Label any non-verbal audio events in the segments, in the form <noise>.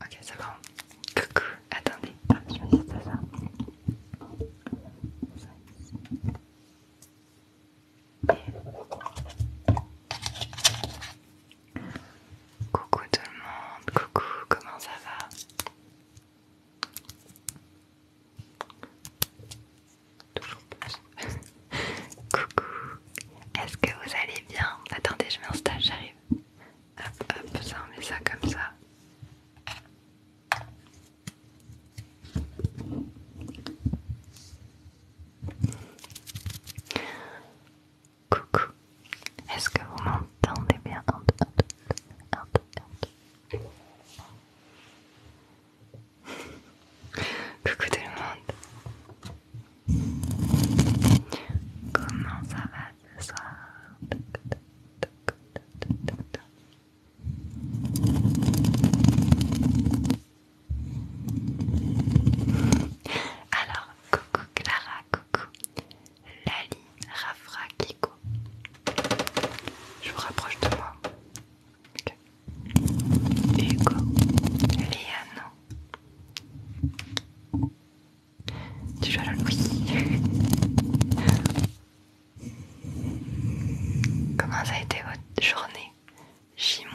Ok, c'est bon. Coucou, attendez. Ah, je me Coucou tout le monde, coucou, comment ça va? Toujours plus. <laughs> coucou, est-ce que vous allez bien? Attendez, je stage, j'arrive. Hop, hop, ça on met ça comme ça. Coucou, est-ce que vous m'entendez bien un <laughs> Coucou tout le monde Comment ça va ce soir Alors, coucou Clara, coucou Lali, Rafra, Kiko. Je vous rapproche de moi. Hugo, Liano. Tu joues à LOL Oui. <laughs> Comment ça a été votre journée J-1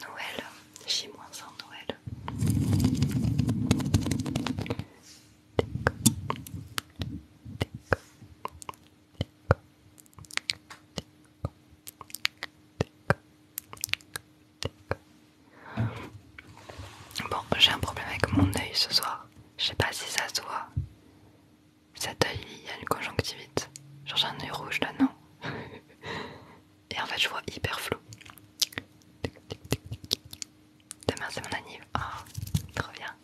Noël. J-1 Noël. Déco. Déco. Déco. Bon, j'ai un problème avec mon œil ce soir. Je sais pas si ça se voit. Cet œil, il y a une conjonctivite. Genre j'ai un œil rouge là, non <laughs> Et en fait, je vois hyper flou. Demain, c'est mon anniv. Oh, trop bien.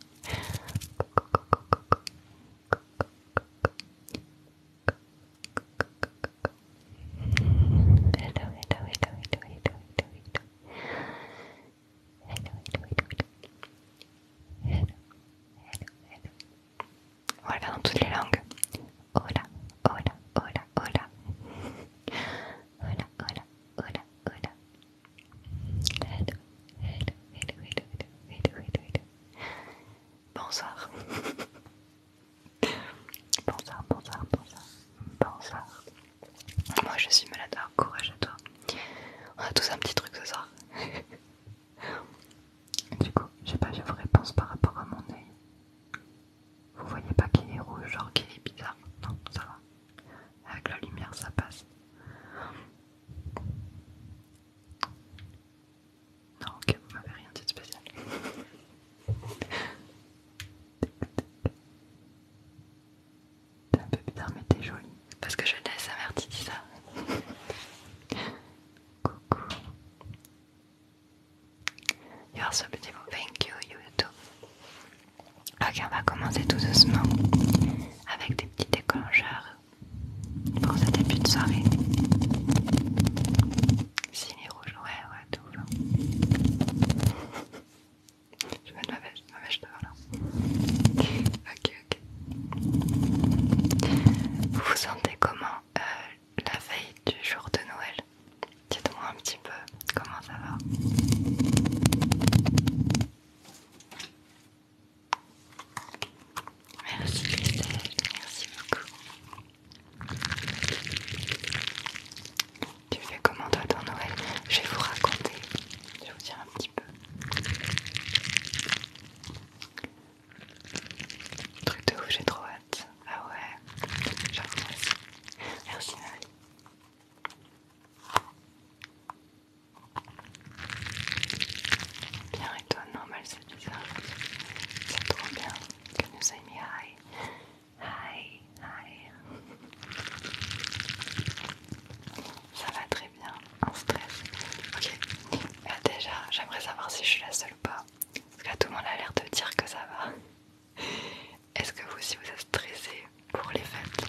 Hello, hello, hello, hello, hello, hello, hello. Hello, hello, hello, hello. Hello, hello, Guarda dans toutes les langues. Hola, hola, hola, hola. Hola, hola, hola, hola. Hello, hello, hello, hello, hello, hello, hello. Bonsoir. <laughs> Bonsoir, bonsoir, bonsoir, bonsoir. Moi je suis malade, ah, courage à toi. On a tous un petit truc ce soir. <laughs> du coup, je sais pas, je vous réponse par rapport à mon œil. Vous voyez pas qu'il est rouge, genre qu'il est bizarre. Non, ça va. Avec la lumière, ça passe. Non, ok, vous m'avez rien dit de spécial. <laughs> T'es un peu bizarre mais t'es jolie. Parce que je laisse sa mère dit ça. <laughs> Coucou. You're ce so beautiful. Thank you, YouTube. Ok, on va commencer tout doucement avec des petits déclencheurs pour ce début de soirée. Si les ouais, ouais. Je vais de ma veste, là. Ok, ok. Vous vous sentez comment euh, la veille du jour de Noël Dites-moi un petit peu comment ça va. Merci, Christelle, merci beaucoup. Tu fais comment toi ton Noël Je vais vous raconter, je vais vous dire un petit peu. Truc de ouf, j'ai trop hâte. Ah ouais, j'avoue merci. Merci Marie. Bien et toi, normal c'est bizarre. C'est trop bien que nous ayons mis Hi, hi. Ça va très bien, en stress. Ok, euh, déjà, j'aimerais savoir si je suis la seule ou pas. Parce que tout le monde a l'air de dire que ça va. Est-ce que vous aussi vous êtes stressé pour les fêtes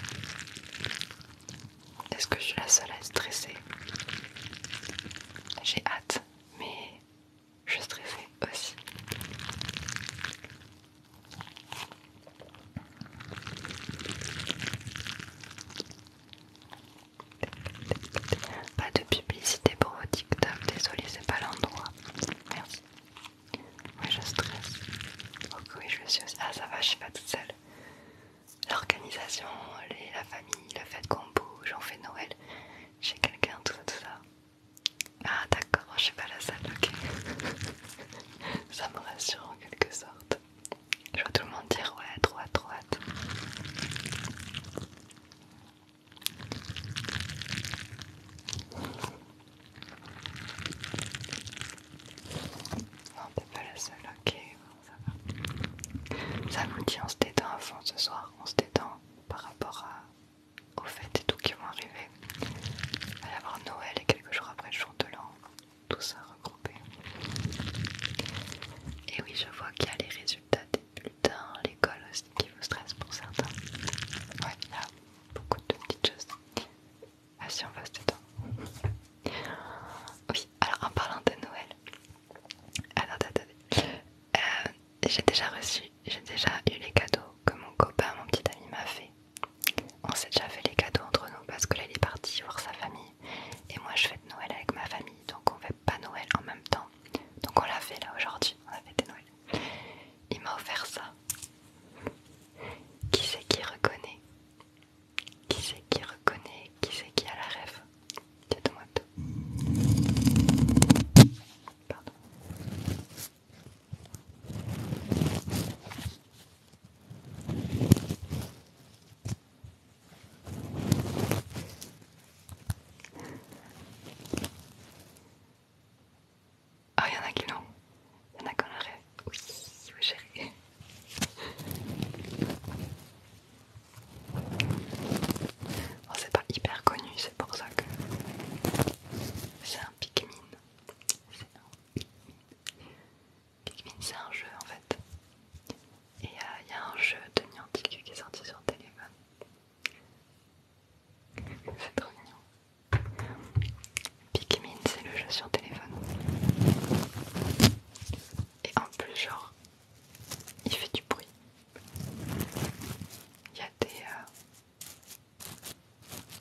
Est-ce que je suis la seule à être stressée J'ai hâte, mais je stressais aussi. Pas de publicité pour vos TikTok, désolé, c'est pas l'endroit. Merci. Oui, je stresse. Ok, je suis Ah, ça va, je suis pas toute seule. L'organisation, la famille, le fait qu'on bouge, on fait Noël. chez quelqu'un, tout ça. Ah d'accord, je suis pas la seule, ok. <laughs> Ça me rassure en quelque sorte. Je vois tout le monde dire ouais, droite, droite. Non, t'es pas la seule, ok, ça va. Ça nous dit on se détend à fond ce soir, on se détend par rapport à au fait et tout qui vont arriver. Il va y avoir Noël et quelques jours après le jour de l'an, tout ça regroupé. Et oui, je vois qu'il y a les résultats des bulletins, l'école aussi qui vous stresse pour certains. Ouais, il y a beaucoup de petites choses. Ah si, on va se détendre. Oui, alors en parlant de Noël, ah, attendez, euh, J'ai déjà reçu j'ai déjà eu les cadeaux que mon copain, mon petit ami m'a fait. On s'est déjà fait les cadeaux entre nous parce que là est parti voir sa famille et moi je fête Noël avec ma famille donc on fait pas Noël en même temps. Donc on l'a fait là aujourd'hui, on a fêté Noël. Il m'a offert ça. Qui c'est qui reconnaît Qui c'est qui reconnaît Qui c'est qui a la rêve Dites-moi tout. Pardon. Ah, il y en a qui l'ont. Il y en a qui en Oui, oui, chérie. Oh, c'est pas hyper connu, c'est pour ça que c'est un Pikmin. Pikmin c'est un jeu en fait. Et il euh, y a un jeu de Niantic qui est sorti sur téléphone. c'est trop mignon. Pikmin c'est le jeu sur téléphone. Et en plus genre, il fait du bruit. Il y a des... Euh,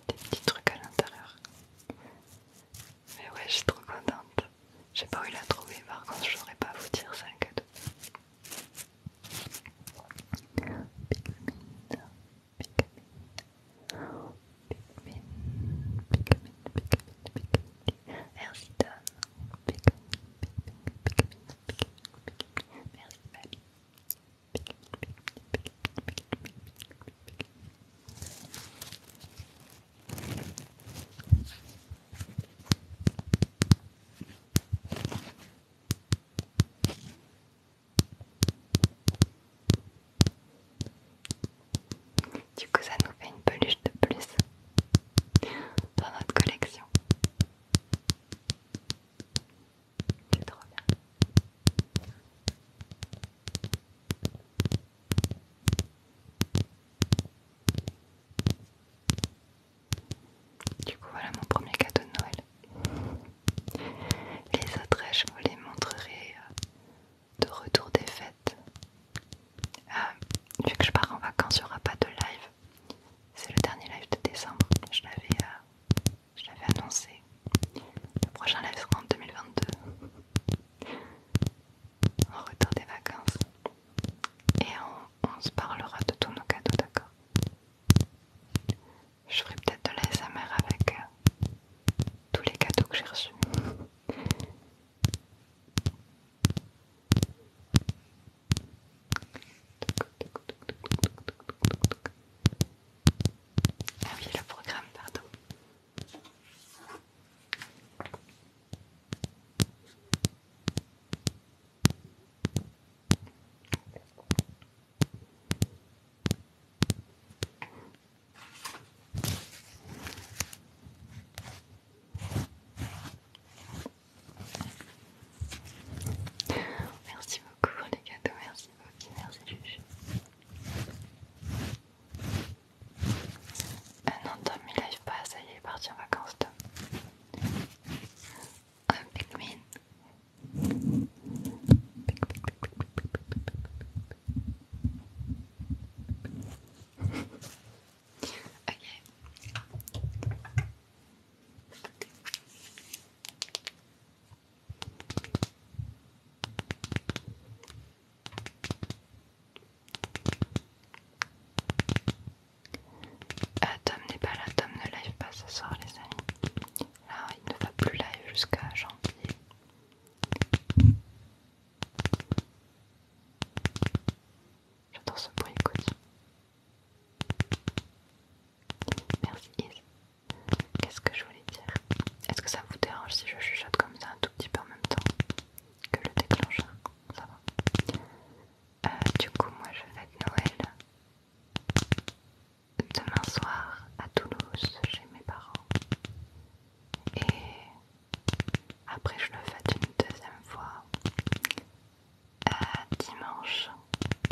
des petits trucs à l'intérieur. Mais ouais, je suis trop contente. j'ai pas eu la trouver par contre, je pas vous dire, c'est un cadeau. Du coup, ça nous fait une peluche de plus dans notre collection bien. Du coup, voilà mon premier cadeau de Noël. Les autres, je vous les montrerai euh, de retour des fêtes. Euh, vu que je pars en vacances, il n'y aura pas de live. C'est le dernier live de décembre. Je l'avais euh, je l'avais annoncé. Le prochain live sera en 2022. En retard des vacances. Et on, se parlera de tous nos cadeaux, d'accord Je ferai peut-être de l'ASMR avec euh, tous les cadeaux que j'ai reçus. Ah oui, le programme, pardon. Merci beaucoup les cadeaux, merci Ok, merci Ah non, Tom il arrive pas, ça y est, il est parti en vacances, Tom. Un oh, Pikmin. ok. Ah, Tom n'est pas là, Tom ne live pas ce soir, les amis. Là, il ne va plus live jusqu'à janvier. J'adore ce bruit, écoute. Merci, Qu'est-ce que je voulais dire Est-ce que ça vous dérange si je chuchote comme ça un tout petit peu en même temps que le déclencheur Ça va. Euh, du coup, moi je fête Noël demain soir à Toulouse chez mes parents. Et après, je le fête une deuxième fois euh, dimanche,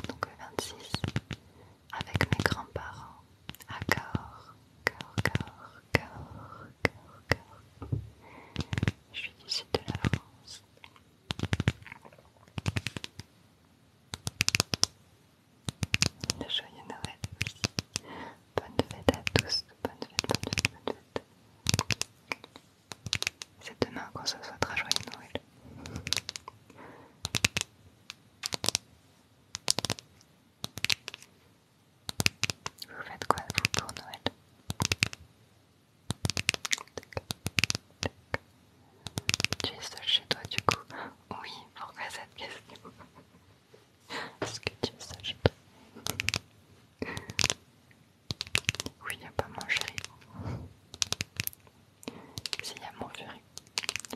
donc le 26 avec mes grands-parents à Cahors. Cahors, Je suis du sud de la France. Le joyeux Noël Bonne fête à tous. Bonne fête, bonne fête, bonne fête. C'est demain qu'on se souhaitera joyeux Noël. Vous faites quoi vous pour Noël Tu es seul chez toi du coup Oui, pourquoi cette question Est-ce que tu es seul chez toi Oui, il n'y a pas mangé. C'est mon jury,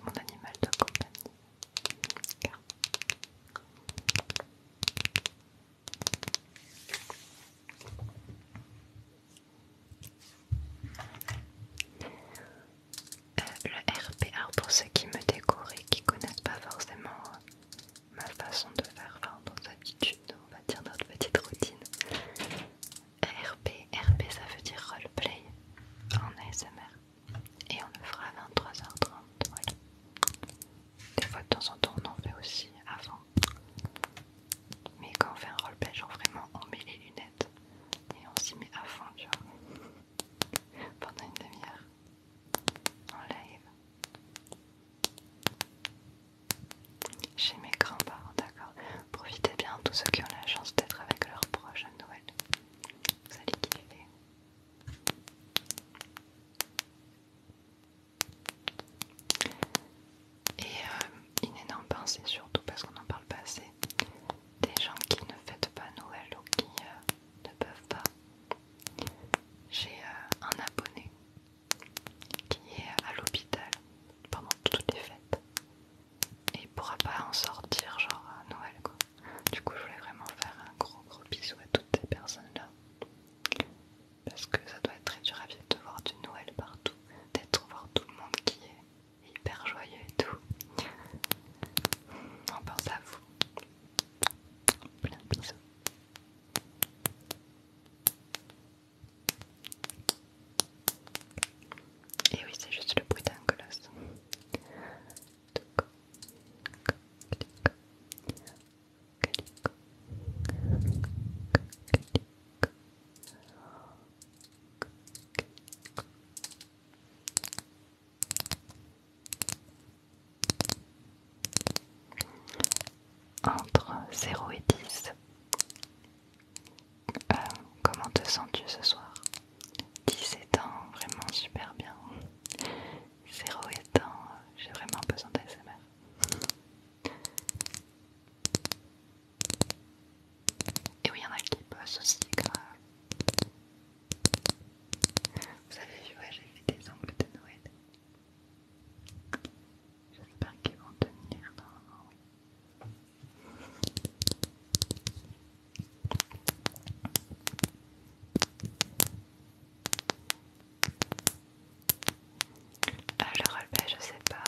mon animal de compagnie. Euh, le RPR pour ceux qui me découvrent et qui connaissent pas forcément euh, ma façon de faire, enfin nos habitudes, on va dire notre petite routine. RP, RP ça veut dire roleplay en ASMR et on le fera à 23h30. Des fois de temps en temps on en fait aussi avant. Mais quand on fait un roleplay, genre vraiment on met les lunettes et on s'y met à fond, <laughs> Pendant une demi-heure. En live. Chez mes grands-parents, d'accord. Profitez bien tous ceux qui ont la chance d'être avec leurs proches à Noël. Vous Et une énorme pensée surtout parce qu'on n'en parle pas assez. Des gens qui ne fêtent pas Noël ou qui euh, ne peuvent pas. J'ai euh, un abonné qui est à l'hôpital pendant toutes les fêtes et il pourra pas en sortir genre à Noël quoi. Du coup je voulais vraiment faire un gros gros bisou à toutes ces personnes là. Parce que ça doit être très dur à vivre de voir du Noël partout, d'être voir tout le monde qui est hyper joyeux et tout. On pense à vous. Plein de bisous. Et oui, c'est juste le bruit d'un colosse. Entre 0 et 10, euh, comment te sens-tu ce soir 10 étant vraiment super bien. 0 étant, j'ai vraiment besoin d'ASMR. Et oui, il y en a qui bossent aussi, grave. Euh, vous avez vu, j'ai fait des ongles de Noël. J'espère qu'ils vont tenir normalement, oui le roleplay, je sais pas.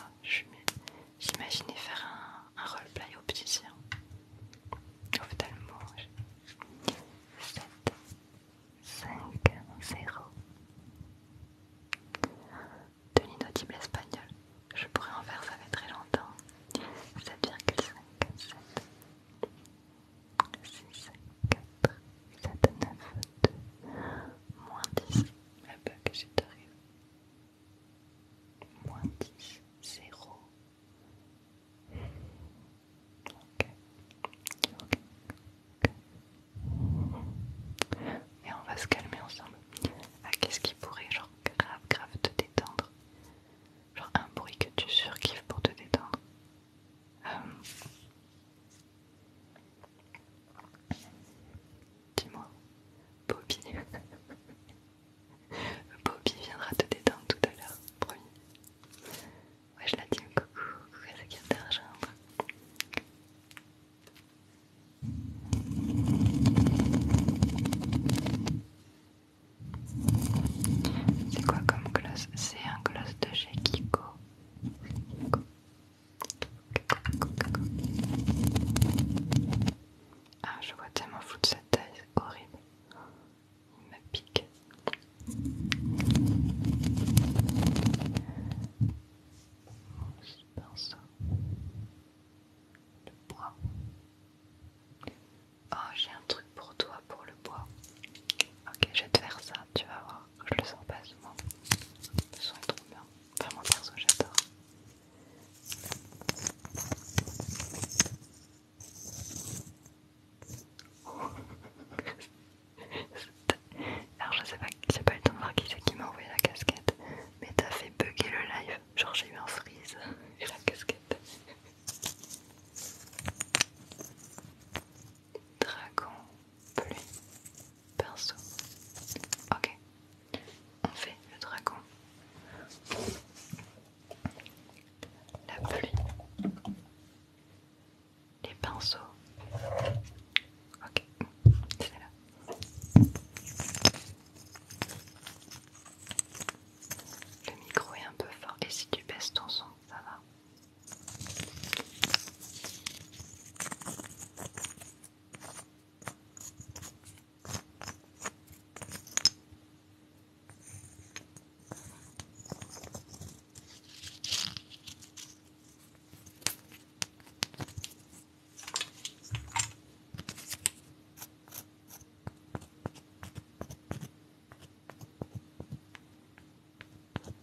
J'imaginais faire un, roleplay Au roleplay opticien. Ophtalmo. 7, 5, 0. De l'innotible espagnol. Je pourrais en faire ça fait très longtemps. 7,5. 5, 6, 4, 7, 9, 2, moins 10. Ah bah que je t'arrive. Moins 10, 0. Ok. Ok. ok, Et on va se calmer ensemble. Ah, qu'est-ce qui pourrait, genre, grave, grave te détendre genre un bruit que tu surkiffes pour te détendre. Euh, dis-moi, Bobby. <laughs> Bobby viendra te détendre tout à l'heure, promis. Ouais, je la dis, coucou, coucou, à la qu'il d'argent. C'est quoi comme gloss C'est un gloss de chez Kiko. Ah, je vois tellement fou de cette taille, c'est horrible. Il me pique. Mon pinceau. de bois. Oh, j'ai un truc pour toi, pour le bois. Ok, je vais te faire ça, tu vas voir. Je le sens pas souvent. Le son est trop bien. vraiment, perso, j'adore. <laughs> Alors, je sais pas, c'est pas le temps de voir qui c'est qui m'a envoyé la casquette, mais t'as fait bugger le live. Genre, j'ai eu un freeze <laughs> et la casquette. Dragon, pluie, pinceau. Ok, on fait le dragon. La pluie, les pinceaux. Ok, c'est là. Le micro est un peu fort et si tu baisses ton son, ça va.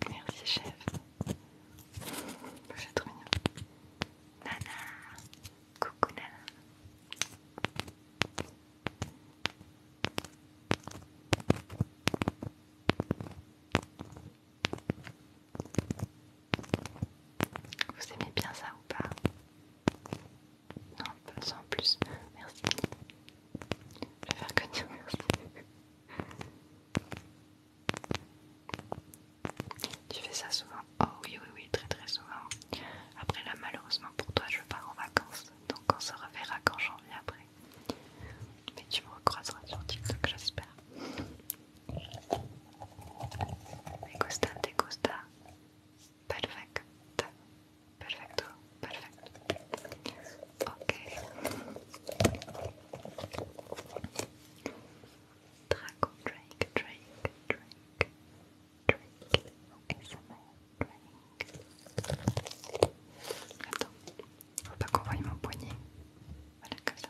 Merci chef. J'ai trop mignon. Nana. Coucou Nana. Vous aimez bien ça ou pas pas pas en plus. Merci. Je vais faire que merci. Tu fais ça souvent Oh oui, oui, oui, très très souvent. Après là, malheureusement pour toi, je pars en vacances. Donc on se reverra quand j'en viens après. Mais tu me recroiseras sur TikTok, j'espère. Mais Costa Perfect. Perfecto. Perfecto. Ok. Draco, Drake, Drake, Drake, Drake. SMR, Drake. Attends. Faut pas qu'on voie mon poignet. Voilà, comme ça.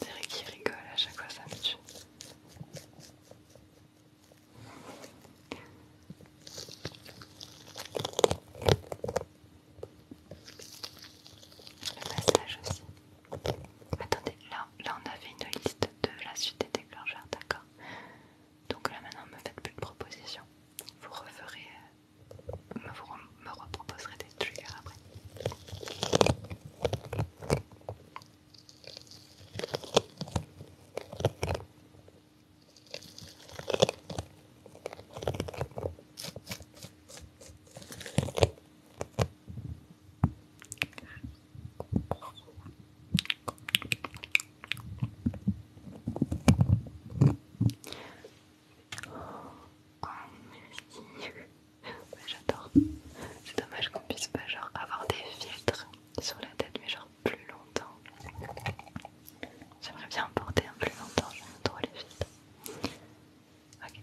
Derek qui rigole à chaque fois, ça me tue. Le massage aussi. Attendez, là, là on avait une liste de la suite des déclencheurs, d'accord Donc là maintenant ne me faites plus de propositions. Vous referez, euh, me reproposerez des trucs après. Oh, J'adore. C'est dommage qu'on puisse pas genre avoir des filtres sur la tête, mais genre plus longtemps. J'aimerais bien porter un plus longtemps, j'aime trop les filtres. Ok,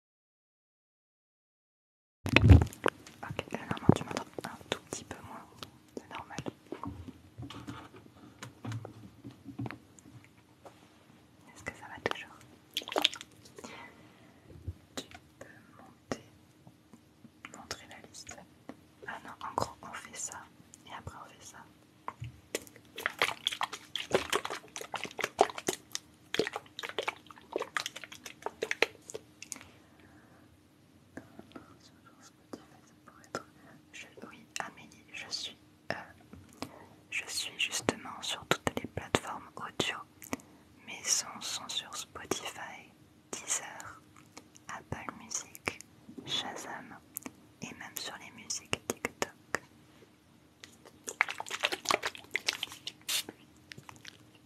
Ok, là euh, normalement tu m'entends un tout petit peu moins, c'est normal. Est-ce que ça va toujours Tu peux monter, montrer la liste. Ah non, en gros on fait ça et après on fait ça. Je, Amélie, je suis, euh, je suis justement sur toutes les plateformes audio. Mes sons sont sur Spotify, Deezer, Apple Music, Shazam et même sur les musiques TikTok.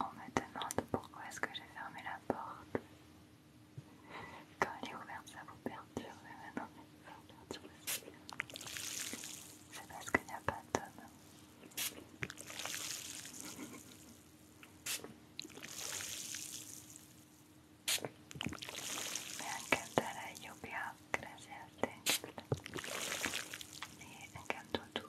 On me demande pourquoi est-ce que j'ai fermé la porte. Quand elle est ouverte, ça vous perturbe. Maintenant, ça vous perturbe C'est parce qu'il n'y a pas d'homme. Me encanta la lluvia, gracias, te Et Me encantó tout.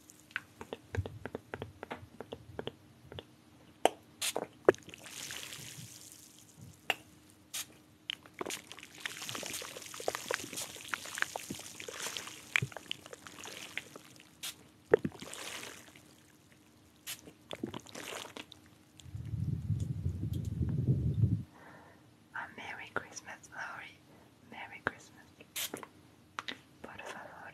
A Merry Christmas, Laurie. Merry Christmas. Por favor,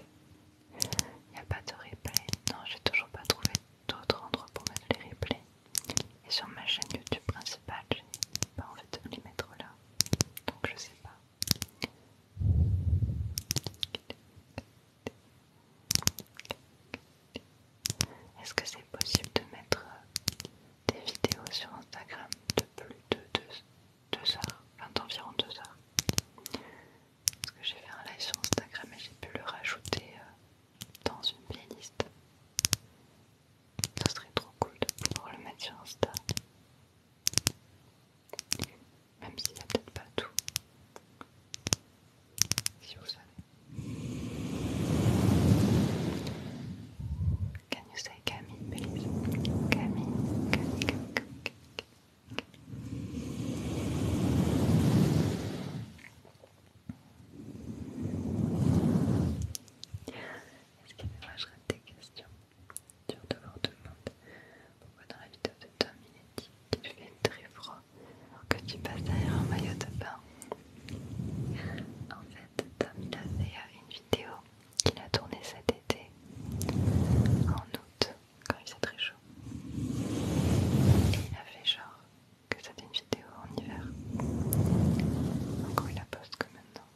Il n'y a pas de replay. Non, j'ai toujours pas trouvé d'autres endroits pour mettre les replays. Et sur ma chaîne YouTube principale, j'ai pas envie de les mettre là. Donc je sais pas. Est-ce que c'est possible de mettre euh, des vidéos sur Instagram de plus de deux 2 heures, enfin environ 2 heures. Parce que j'ai fait un live sur Instagram et j'ai pu le rajouter euh, dans une playlist. Ça serait trop cool de pouvoir le mettre sur Insta. Même s'il n'y a peut-être pas tout. Si vous savez. Can you say Camille, please? Camille, Camille, Camille, Camille. Camille Est-ce Est-ce qu'il que rate des questions. Dur de voir tout Pourquoi dans la vidéo de Tom il est dit qu'il fait très froid alors que tu passes derrière un maillot de bain En fait, Tom il a fait une vidéo qu'il a tourné cet été, en août, quand il faisait très chaud. Et il a fait genre que ça une vidéo en hiver. donc il la poste que maintenant.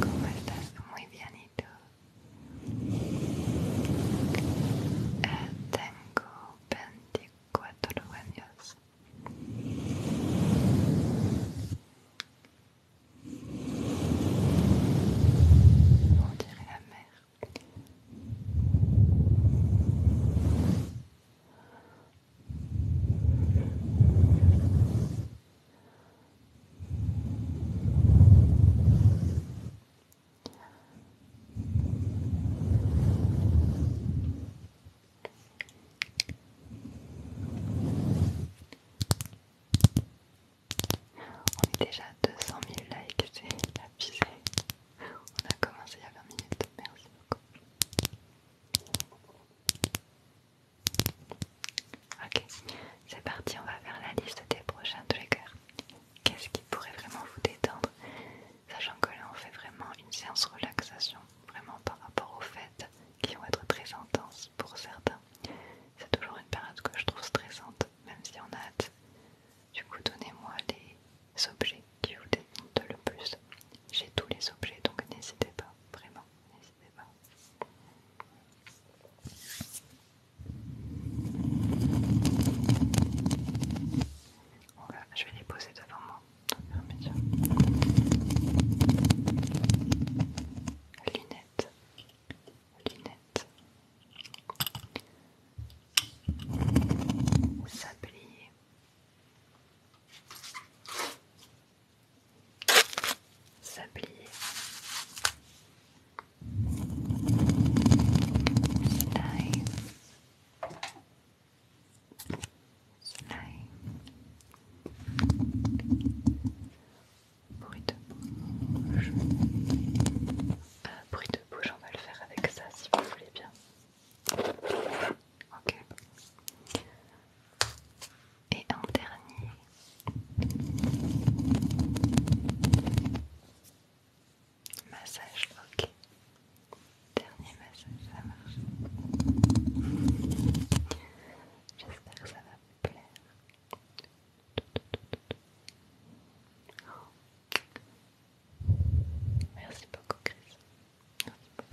¿Cómo estás? Muy bienito. Eh, tengo cuatro años. On dirait la mer. On est déjà à 200 000 likes, c'est la On a commencé il y a 20 minutes, merci beaucoup. Ok, c'est parti, on va faire la liste des prochains triggers. Qu'est-ce qui pourrait vraiment vous détendre sachant que là on fait vraiment une séance relaxation, vraiment par rapport aux fêtes qui vont être très intenses pour certains. C'est toujours une période que je trouve stressante, même si on a hâte. Du coup, donnez-moi les objets qui vous démontent le plus. J'ai tous les objets, donc n'hésitez pas, vraiment, n'hésitez pas. Voilà, je vais les poser devant moi. Lunettes. Lunettes. Sablier. Sablier. Nice. Bruit de bouche. bruit de bouche, on va le faire avec ça si vous voulez bien. Ok. Et un dernier. Massage, ok. Dernier massage, ça marche. J'espère que ça va vous plaire. Merci beaucoup, Chris. Merci beaucoup.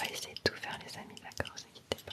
On va essayer de tout faire les amis, d'accord, ne quittez pas.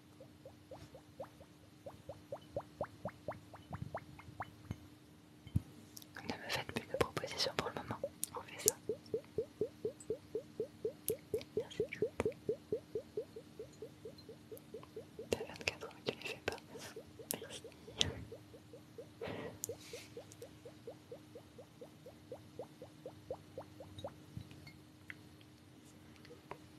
Ne me faites plus de propositions pour le moment, on fait ça. Merci. En fait,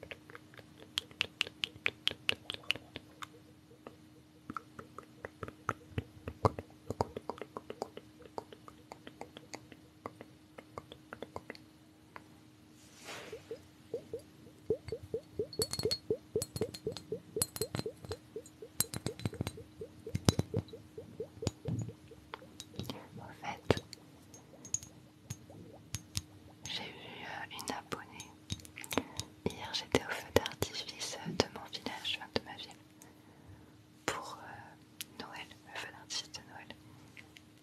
j'ai eu euh, une abonnée. Hier, j'étais au feu d'artifice de mon village, enfin de ma ville, pour euh, Noël, le feu d'artifice de Noël.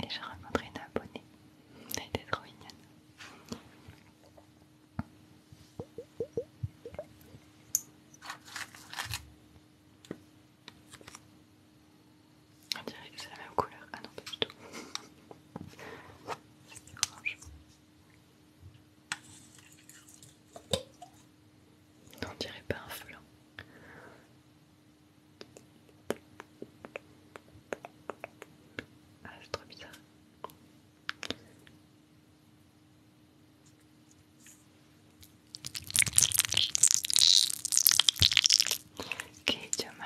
Et j'ai rencontré une abonnée. Elle était trop mignonne. On dirait que c'est la même couleur. Ah non, pas du tout. <laughs> C'est On dirait pas un flan. Ah, c'est trop bizarre. Ok, tu ma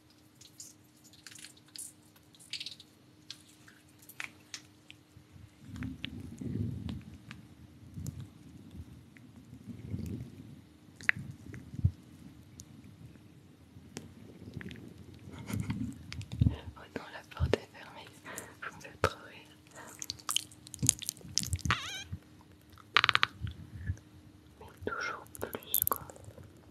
Oh non, la porte est fermée. Vous me faites trop rire. Mais toujours plus, quoi.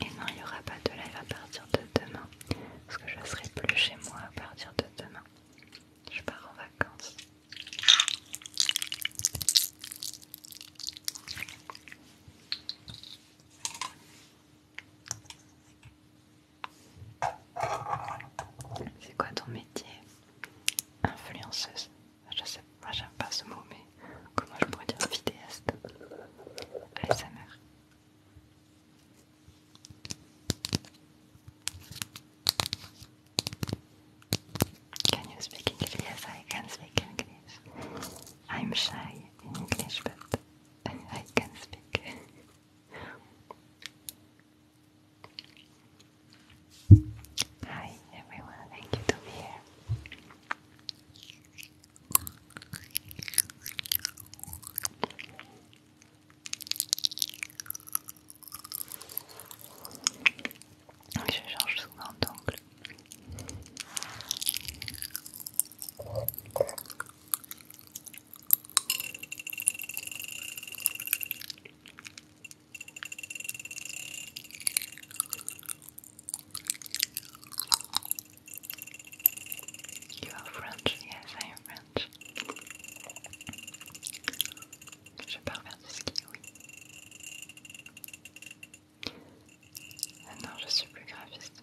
Et non, il n'y aura pas de live à partir de demain, parce que je serai plus chez moi à partir de demain. Je pars en vacances. C'est quoi ton métier Influenceuse. Ah, je sais pas, j'aime pas ce mot, mais comment je pourrais dire vidéaste ASMR. Can you speak English? Yes, I can speak English. I'm shy in English, but I can speak. Hi everyone, thank you to be here. Je change souvent d'angle. You are French? Yes, I am French. Je pars vers du ski, oui. Ah non, je suis plus graphiste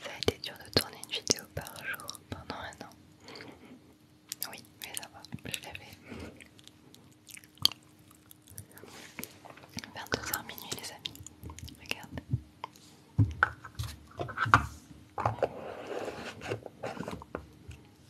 Ça a été dur de tourner une vidéo par jour pendant un an. Oui, mais ça va, je l'avais fait. 22h minuit, les amis. Regarde.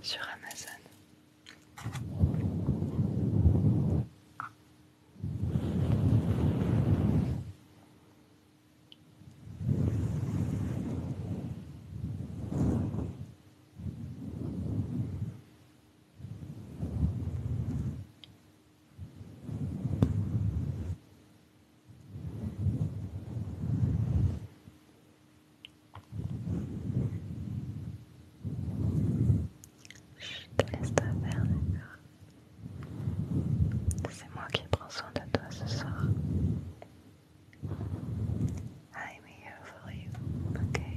sur Amazon. Je te laisse pas faire, d'accord C'est moi qui prends soin de toi ce soir. I'm here for you, okay?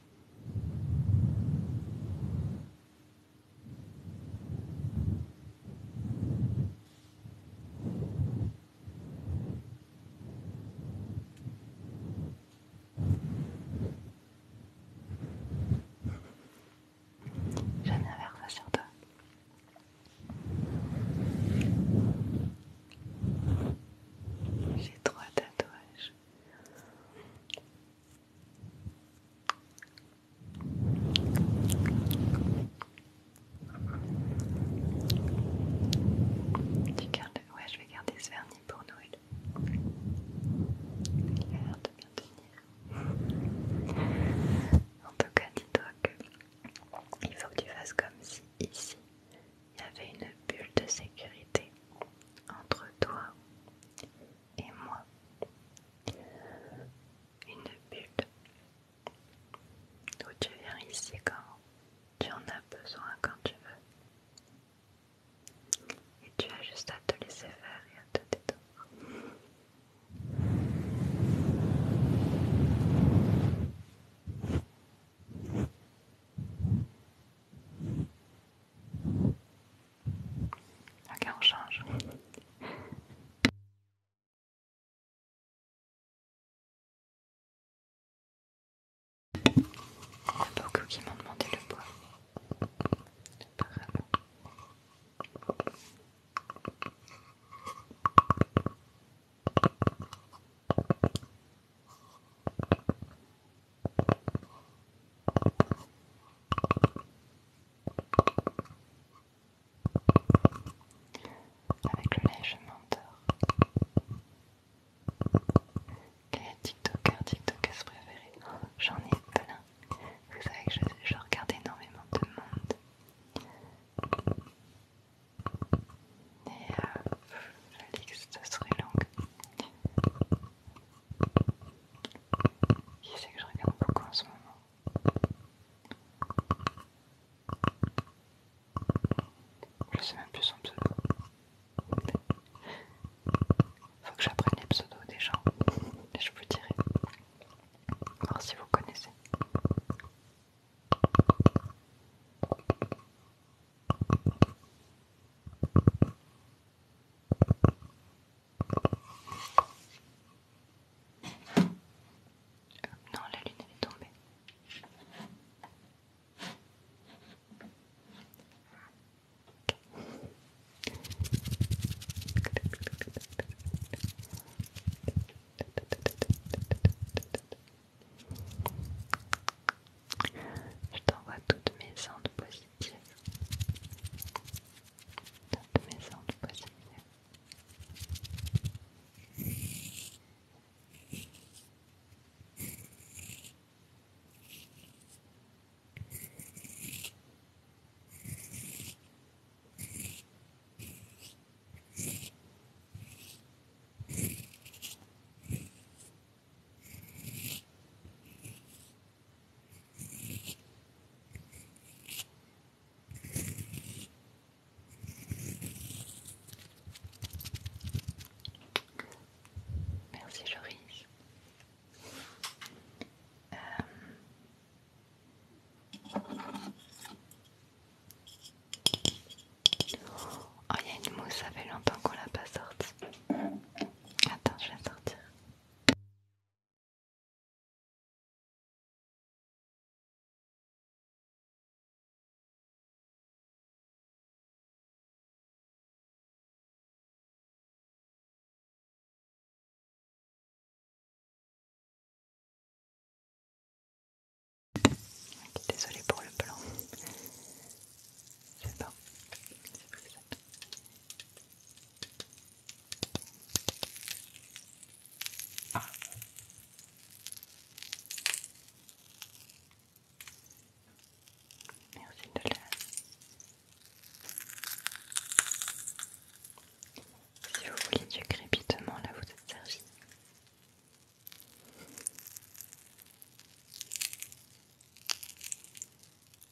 J'ai un verre sur toi. J'ai trois tatouages. Tu gardes... Ouais, je vais garder ce vernis pour Noël. Il a l'air de bien tenir. En tout cas, dis-toi que il faut que tu fasses comme si ici il y avait une bulle de sécurité entre toi et moi. Une bulle où tu viens ici quand tu en as besoin, quand tu veux. Et tu as juste à te laisser faire et à te détendre. Ok, on change. Il y a beaucoup qui m'ont demandé le bois. grave. Avec le lait, je m'endors. Quel est TikToker, TikToker préféré J'en ai plein. Vous savez que je, regarde énormément de monde. Et euh, la liste serait longue. Qui c'est que je regarde beaucoup en ce moment Je sais même plus son pseudo. Faut que j'apprenne les pseudos des gens. je vous dirai. Voir si vous connaissez. Non, la lune est tombée. Je t'envoie toutes mes ondes positives. Toutes mes ondes positives. Merci Joris. Euh... Oh, il y a une mousse, ça fait longtemps qu'on l'a pas sortie. Attends, je vais sortir. Désolée pour le plan. C'est bon. Merci de le. Si vous voulez du crépitement, là vous êtes servi.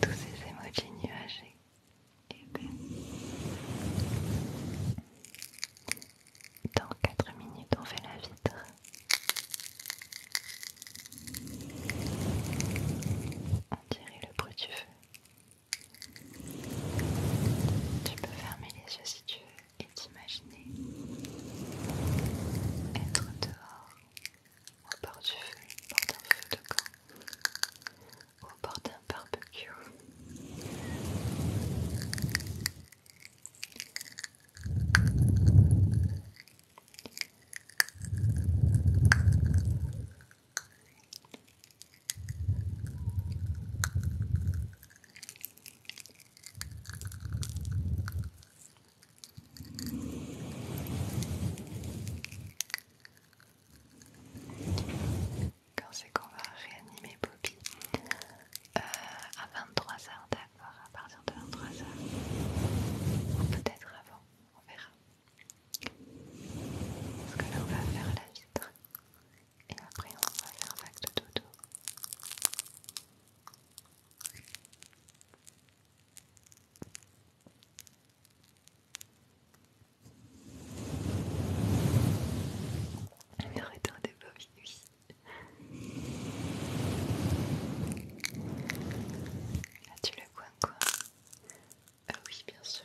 Tous ces émojis nuagés et Dans 4 minutes, on fait la vitre. On dirait le bruit du feu. Tu peux fermer les yeux si tu veux et d'imaginer être dehors, au bord du feu, au bord d'un feu de camp, au bord d'un barbecue. Quand c'est qu'on va réanimer Bobby euh, À 23h, d'accord, à partir de 23h. Peut-être avant, on verra. Parce que là on va faire la vitre. Et après, on va faire vague de dodo. un des pas, oui. Là, tu le coin quoi Ah oui, bien sûr.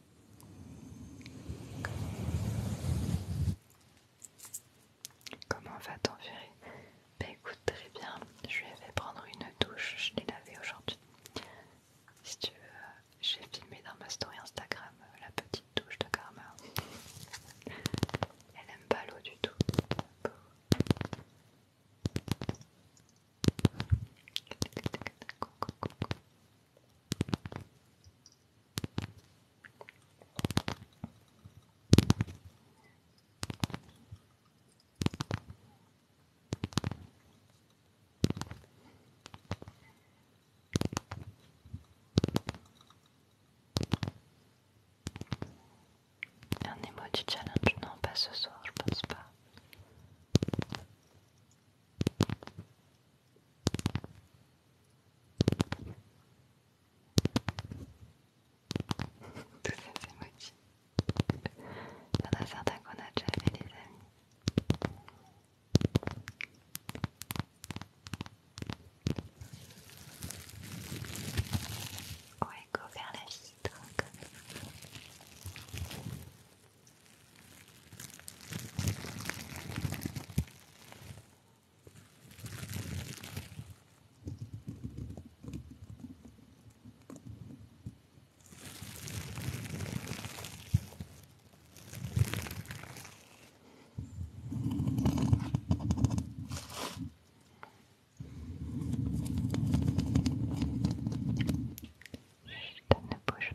Comment va t'en on écoute très bien, je lui prendre une douche, je l'ai lavée aujourd'hui. Si tu veux, euh, j'ai filmé dans ma story Instagram euh, la petite douche de Karma. Elle n'aime pas l'eau du tout. Un du challenge, non pas ce soir, je pense pas. Tous ces emojis. Il y en a certains qu'on a déjà fait, les amis. On go vers la vitre. Hein, comme... Chut, ne bouge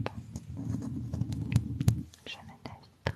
pas. jamais mets vitre.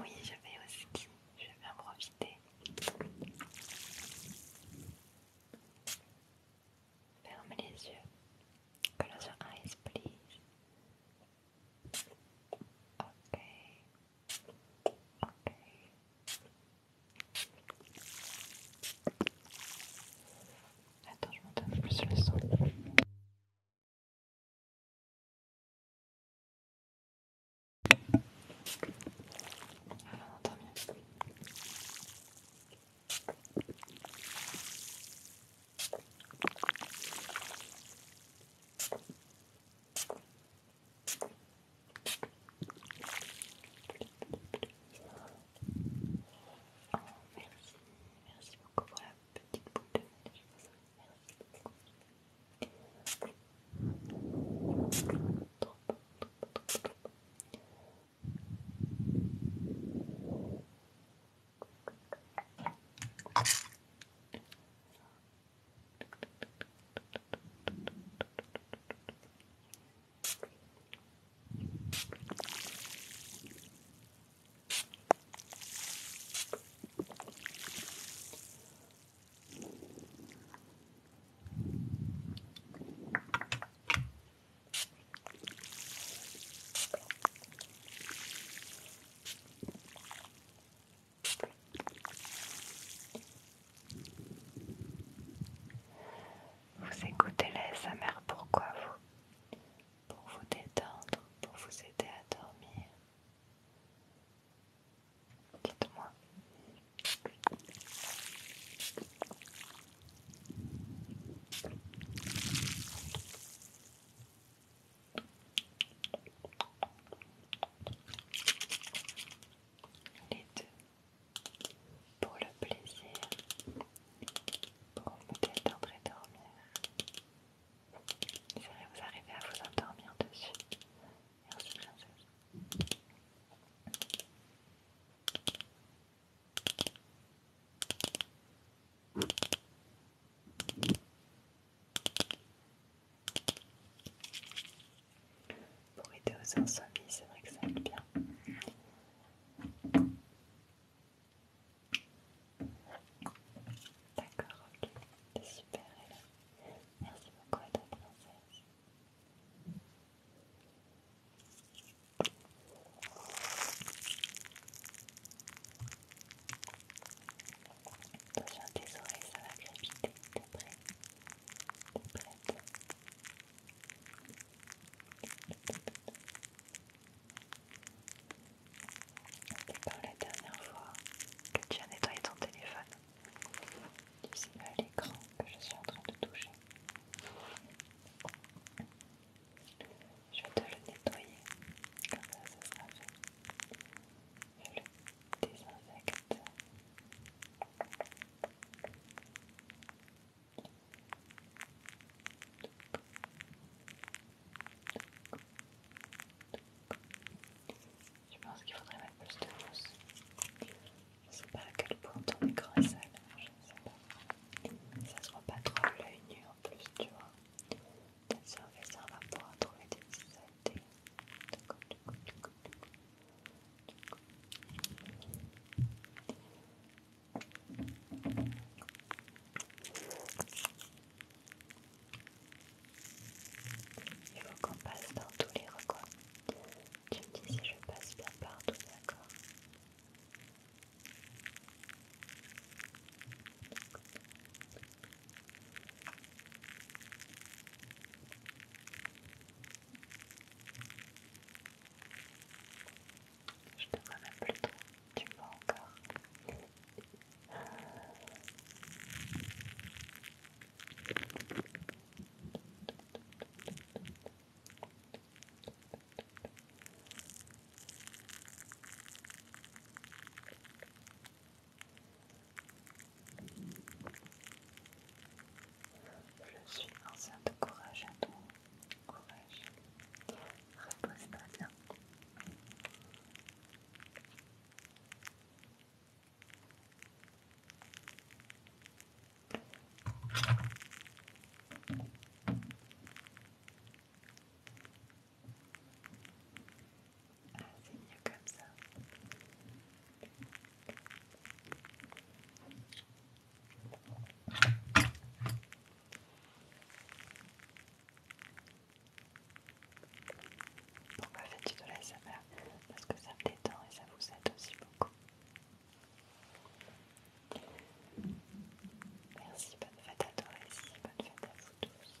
Oui, je vais aussi. je vais en profiter. Ferme les yeux. Close your eyes, please. Ok. Ok. Attends, je monte un peu plus le son. Ah, on entend mieux. Oh, merci, merci beaucoup pour la petite boule de vous écoutez la SMR pourquoi vous pour vous détendre, pour vous aider à dormir. Dites-moi. Les deux pour le plaisir pour vous lequel et dormir. Vous vous arriver à vous endormir dessus. Merci princesse. Pour aider aux insomnies, c'est vrai que ça aide bien. D'accord, ok, c'est super, Ella. Merci beaucoup à toi, princesse. Attention à tes oreilles, ça va graviter, T'es prêt T'es prête et comme la dernière fois que tu as nettoyé ton téléphone, tu là l'écran que je suis en train de toucher. Je vais te le nettoyer, comme ça ça sera Je le désinfecte. Je pense qu'il faudrait mettre plus de mousse. Je ne sais pas à quel point ton écran est sale, hein, je ne sais pas. Ça se voit pas trop l'œil nu en plus, tu vois. Peut-être ça, on va pouvoir trouver des petits il faut qu'on passe dans tous les recoins. Tu me dis si je passe bien partout, d'accord D'accord. Je te vois même plus trop. Tu m'as encore. Je suis ancien de courage à toi courage, repose-toi bien. Ah, c'est mieux comme ça. Pourquoi faites tu de ça va Parce que ça me détend et ça vous aide aussi beaucoup. Merci, bonne fête à toi aussi, bonne fête à vous tous.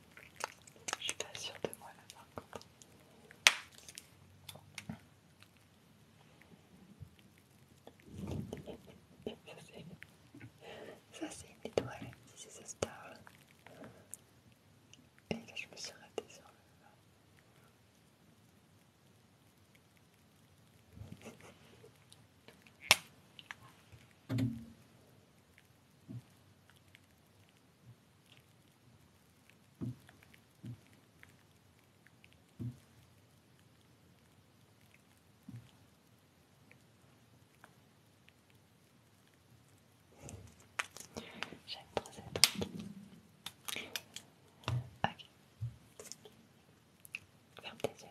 Je suis pas sûre de moi là par Ça c'est une étoile, si c'est ce star. Et je me suis ratée sur le... J'aime trop cette truc. Ok. Ferme tes yeux.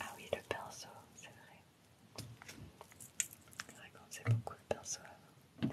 Ah oui, le pinceau, c'est vrai. C'est qu'on faisait beaucoup le pinceau avant.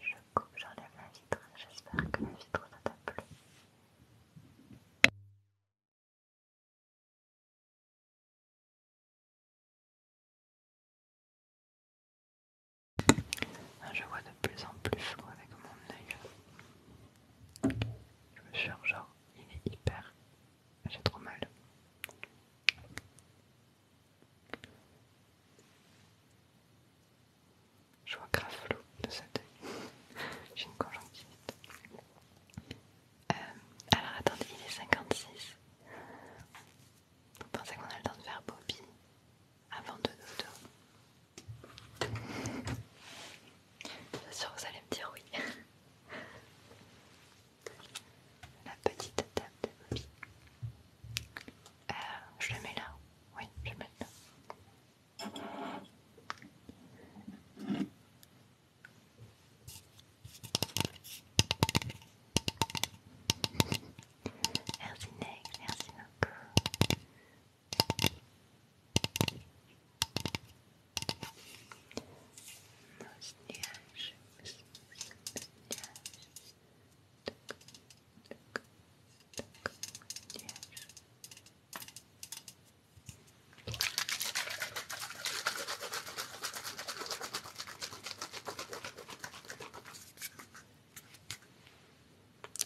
Je coupe, j'enlève la vitre. J'espère que la vitre ne t'a plu. Ah, je vois de plus en plus flou avec mon œil. Je me suis genre, il est hyper. J'ai trop mal. Je vois grave flou de cet œil. <laughs> J'ai une conjonctivite. Euh, alors attendez, il est 56. Vous pensez qu'on a le temps de faire Bobby avant de dodo Bien <laughs> sûr, vous allez me dire oui. <laughs> la petite table de Bobby. Euh, je le mets là. Oui, je le mets là. Merci merci beaucoup.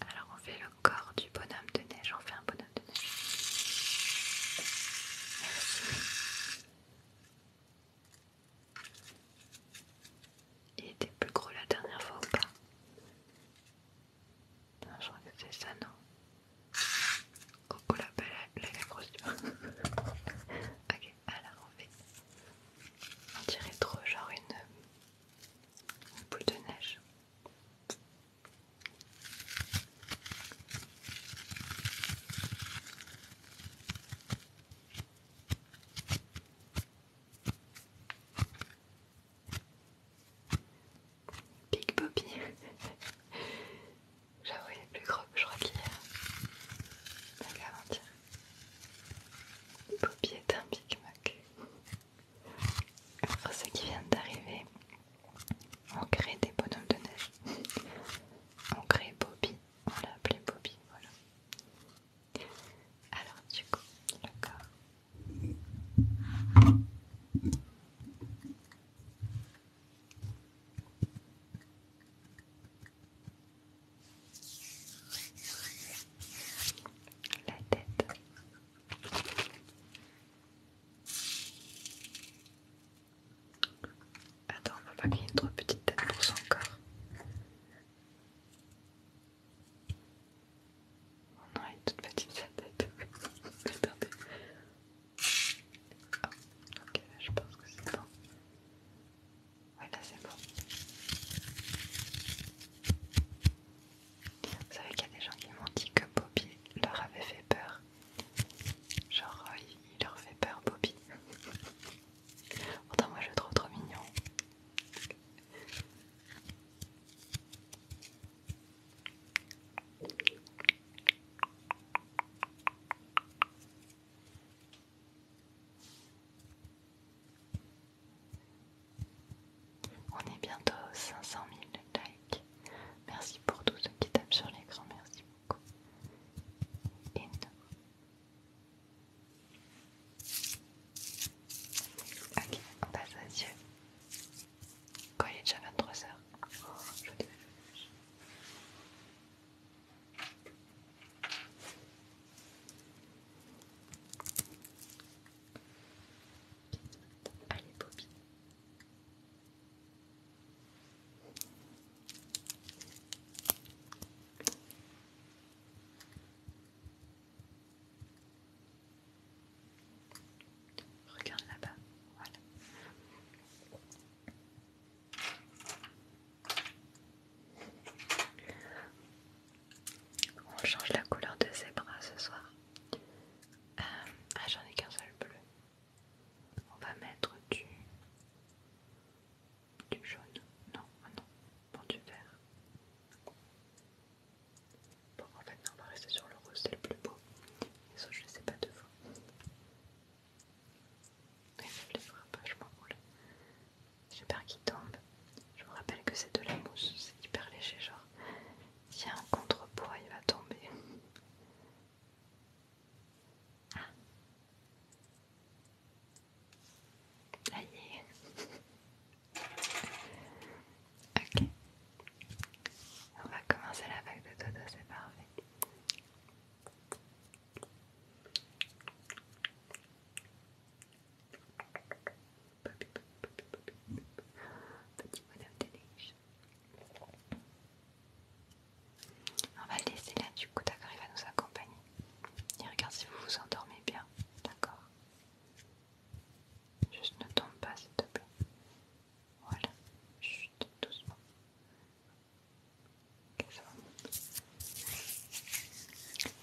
Alors on fait le corps du bonhomme de neige, on fait un bonhomme de neige. Il était plus gros la dernière fois ou pas Je crois que c'est ça, non Coco la belle, la grosse. <laughs> ok, alors on fait. On dirait trop genre une boule de neige. Big Bobby. <laughs> J'avoue, il est plus gros que je crois qu'hier. Pas qu'à Bobby est un Big Mac. Alors ceux qui vient d'arriver, on crée des bonhommes de neige. <laughs> On crée Bobby. On l'a appelé Bobby, voilà. Alors du coup, le corps. La tête. Attends, on va pas qu'il y ait une trop petite tête pour son corps. On a elle toute petite sa tête. <laughs> Attendez. Oh, ok, je pense que c'est bon. Ouais, là c'est bon. Vous savez qu'il y a des gens qui m'ont dit que Bobby leur avait fait peur. Genre, euh, il leur fait peur, Bobby. <laughs> Pourtant, moi je trouve trop mignon. On est bientôt aux 500 000 likes. Merci pour tous ceux qui tapent sur l'écran, merci beaucoup. Ok, on passe à Dieu. Quand il est déjà 23h. Oh, je te... Allez, Bobby. Regarde là-bas, voilà. On change la couleur de ses bras ce soir. Euh, ah, j'en ai qu'un seul bleu. On va mettre du du jaune Non, ah non. Bon, du vert. Bon, en fait, on va rester sur le rose, c'est le plus beau. Mais ça, je ne sais pas de vous. Mais ne les fera pas, je m'en roule. J'ai Je vous rappelle que c'est de la mousse, c'est hyper léger, genre. tiens y a contrepoids, il va tomber. Ah. Aïe. <laughs> Ok. On va commencer la vague de dodo, c'est parfait. Petit On va le laisser là, du coup, d'accord, il va nous accompagner. Et regarde si vous vous endormez bien, d'accord Juste ne tombe pas, s'il te plaît. Voilà, chut, doucement. Ok, ça va.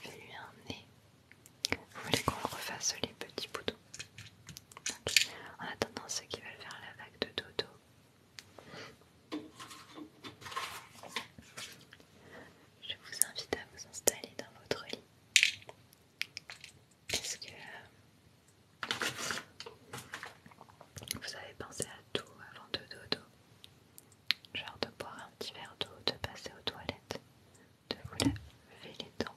Fais-lui un nez. Vous voulez qu'on le refasse les petits boutons En attendant ceux qui veulent faire la vague de dodo je vous invite à vous installer dans votre lit. Est-ce que euh, vous avez pensé à tout avant de dodo Genre de boire un petit verre d'eau, de passer aux toilettes, de vous laver les dents.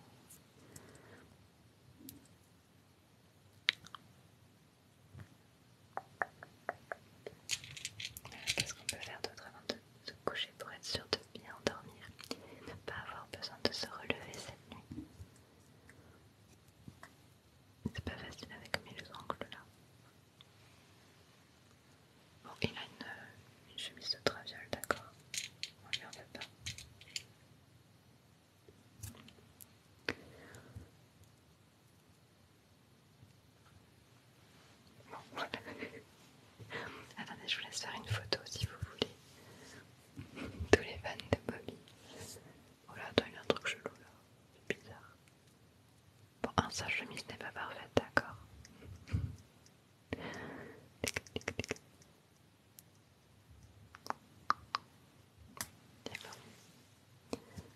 Qu'est-ce qu'on peut faire d'autre avant de se coucher pour être sûr de bien dormir et ne pas avoir besoin de se relever cette nuit. C'est pas facile avec mes ongles là. Bon, il a euh, une, chemise de traviole, d'accord. On lui en veut pas. <laughs> Attendez, je vous laisse faire une photo si vous voulez. Tous les fans de Bobby. Oh là, attends, il y a un truc chelou là. C'est bizarre. Bon, un je chemise n'est pas parfaite, d'accord. D'accord.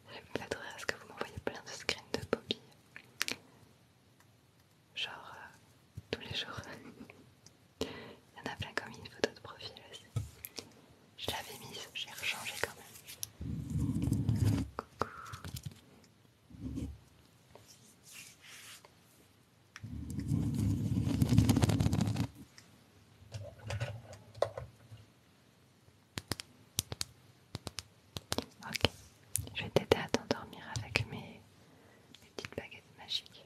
Je vais me m'adresser à ce que vous m'envoyez plein de screens de Bobby genre euh, tous les jours. <laughs> Il y en a plein comme une photo de profil aussi. Je l'avais mise, j'ai rechangé quand même. Coucou. Ok, je vais t'aider à t'endormir avec mes, petites baguettes magiques.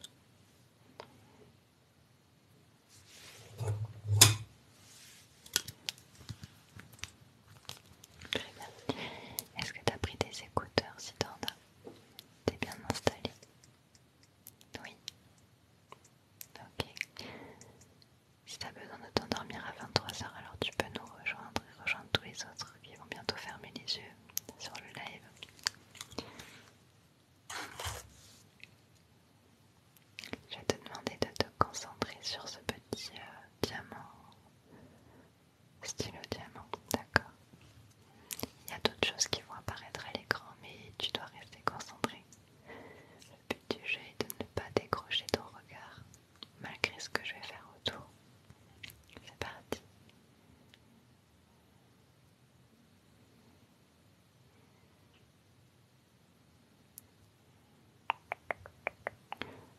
Très bien. Est-ce que tu as pris des écouteurs si t'en T'es bien installé Oui. Ok. Si tu as besoin de t'endormir à 23h, alors tu peux nous rejoindre rejoindre tous les autres qui vont bientôt fermer les yeux sur le live. Je vais te demander de te concentrer sur ce petit euh, diamant, stylo diamant, d'accord Il y a d'autres choses qui vont apparaître à l'écran, mais tu dois rester concentré. Le but du jeu est de ne pas décrocher ton regard malgré ce que je vais faire autour. C'est parti.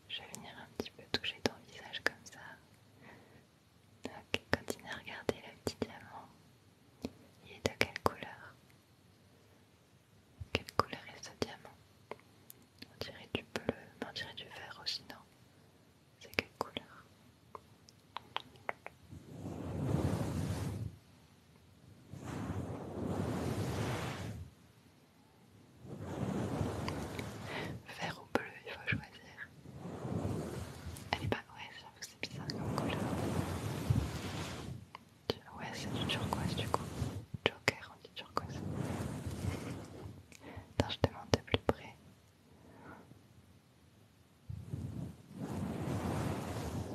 Je vais venir un petit peu toucher ton visage comme ça. Donc continue à regarder le petit diamant. Il est de quelle couleur Quelle couleur est ce diamant on dirait du bleu, on dirait du vert aussi, non C'est quelle couleur Vert ou bleu, il faut choisir. Elle est pas ouais, c'est bizarre comme couleur. Ouais, c'est du turquoise du coup. Joker différente du ça. Tiens, je te montre de plus près.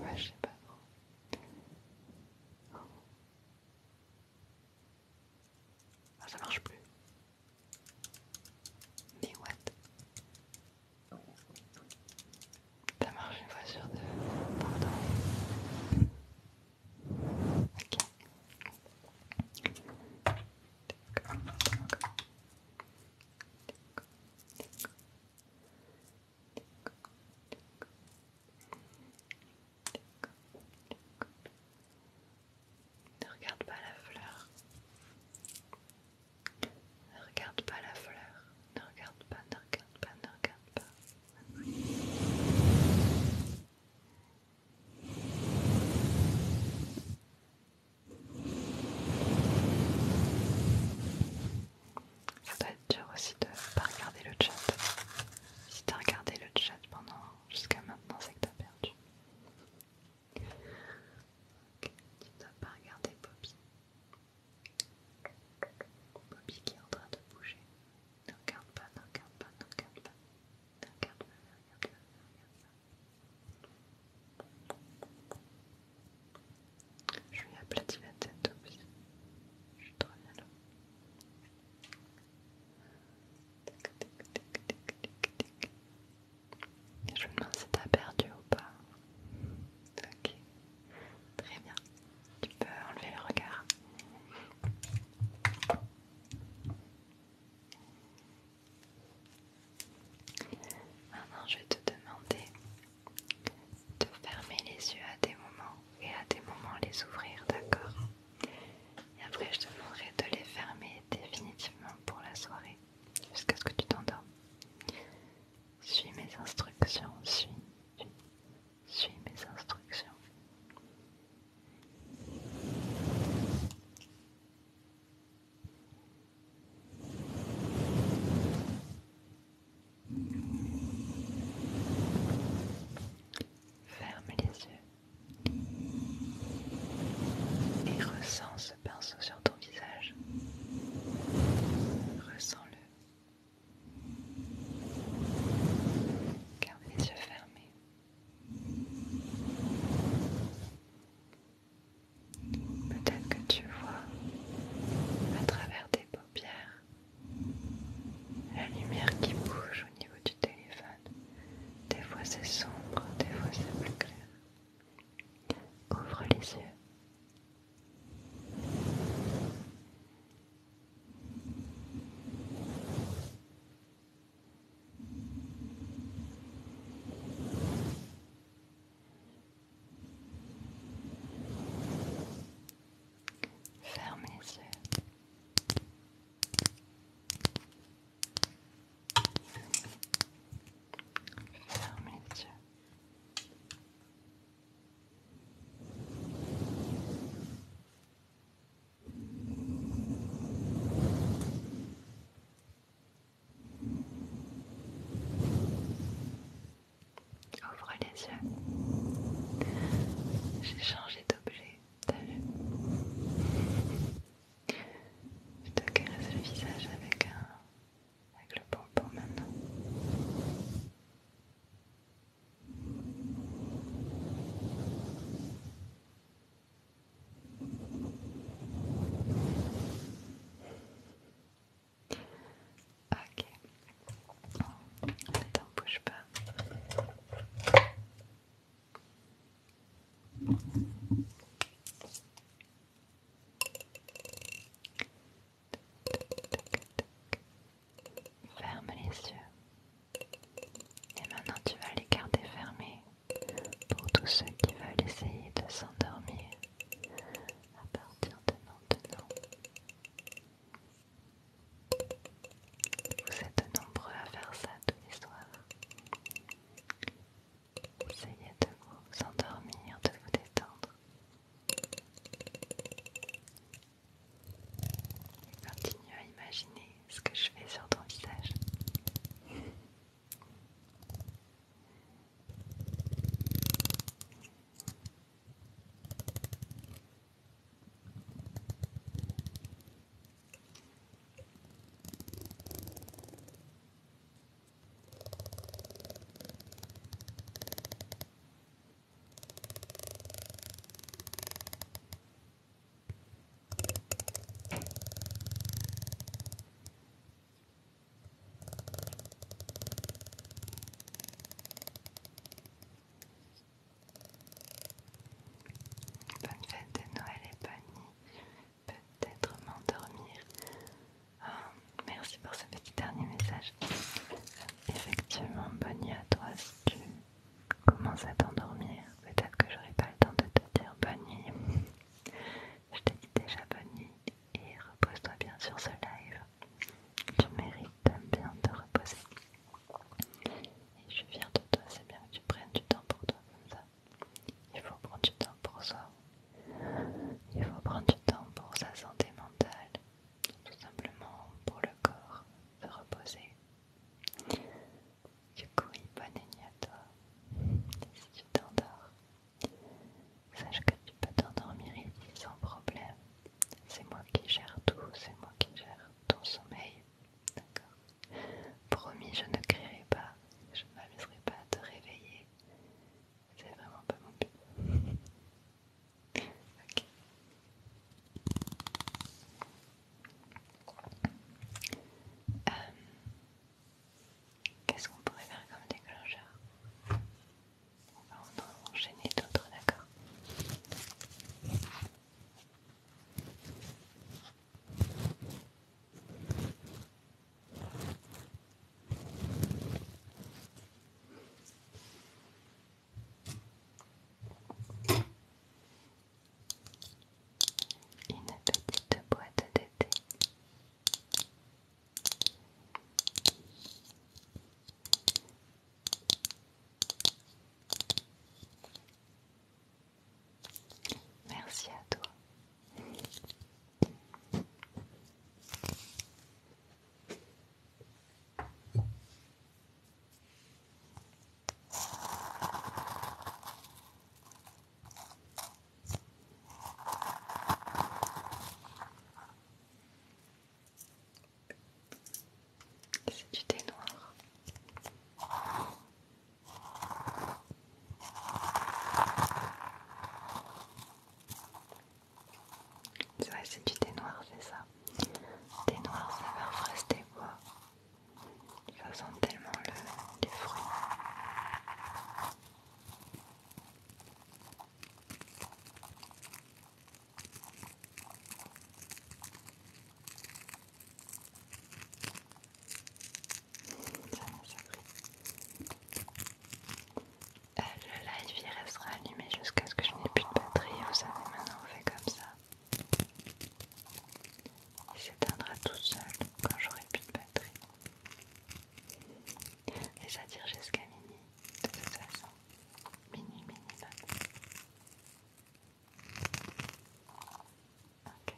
Ouais, je sais pas trop. Ah, ça marche plus. Mais what Ça marche une fois sur deux. Pardon. Ne regarde pas la fleur. Ne regarde pas la fleur. Ne regarde pas, ne regarde pas, ne regarde pas. Ça doit être dur aussi de ne pas regarder le chat. Si as regardé le chat pendant jusqu'à maintenant, c'est que as perdu. tu ne dois pas regarder Bobby. Bobby qui est en train de bouger. Ne regarde pas, ne regarde pas, ne regarde pas. Ne regarde pas, ne regarde pas, ne regarde pas. Je lui aplatis la tête Je suis trop bien là. Je me demande si t'as perdu ou pas. Ok. Très bien. Tu peux enlever le regard. Maintenant, je vais te demander de fermer les yeux à des moments et à des moments les ouvrir, d'accord Et après, je te demanderai de les fermer définitivement pour la soirée, jusqu'à ce que tu t'endormes. Suis mes instructions, suis, suis, suis mes instructions. Ferme les yeux et ressens ce pinceau sur ton visage. Ressens-le. Garde les yeux fermés. Peut-être que tu vois à travers tes paupières la lumière qui bouge au niveau du téléphone. Des fois c'est sombre, des fois c'est plus clair. Ouvre les yeux. Ferme les yeux. Ferme les yeux. Ouvre les yeux. J'ai changé d'objet, t'as Je te caresse le visage avec un... avec le pompon maintenant. Ok, ne t'en bouge pas. Ferme les yeux. Et maintenant tu vas les garder fermés pour tous ceux qui veulent essayer de s'endormir à partir de maintenant. Vous êtes nombreux à faire ça tous les soirs. Essayez de vous endormir, de vous détendre. Continuez à imaginer ce que je fais sur ton visage. Bonne fête de Noël et bonne nuit. Peut-être m'endormir. Ah, merci pour ce petit dernier message. Effectivement, bonne nuit à toi commence à t'endormir. Peut-être que j'aurai pas le temps de te dire bonne nuit. Je t'ai dit déjà bonne nuit et repose-toi bien sur ce live. Tu mérites bien te reposer. Et je suis fière de toi, c'est bien que tu prennes du temps pour toi comme ça. Il faut prendre du temps pour soi. Il faut prendre du temps pour sa santé mentale. Tout simplement pour le corps, se reposer. Du coup, oui, bonne nuit à toi. si tu t'endors, sache que tu peux t'endormir ici sans problème. C'est moi qui gère tout, c'est moi qui gère ton sommeil. D'accord Promis, je ne crierai pas, je ne m'amuserai pas à te réveiller. C'est vraiment pas mon but. <laughs> ok. Euh, qu'est-ce qu'on pourrait faire comme déclencheur On va en enchaîner d'autres, d'accord une petite boîte d'été. Merci à toi. C'est du thé noir. C'est c'est du thé noir, c'est ça. Thé noir, saveur fraise des noir. Ça sent tellement le, les fruits. Euh, le live il restera allumé jusqu'à ce que je n'ai plus de batterie. Vous savez, maintenant on fait comme ça. Il s'éteindra tout seul quand j'aurai plus de batterie. Et ça jusqu'à minuit, de toute façon. Minuit Ok.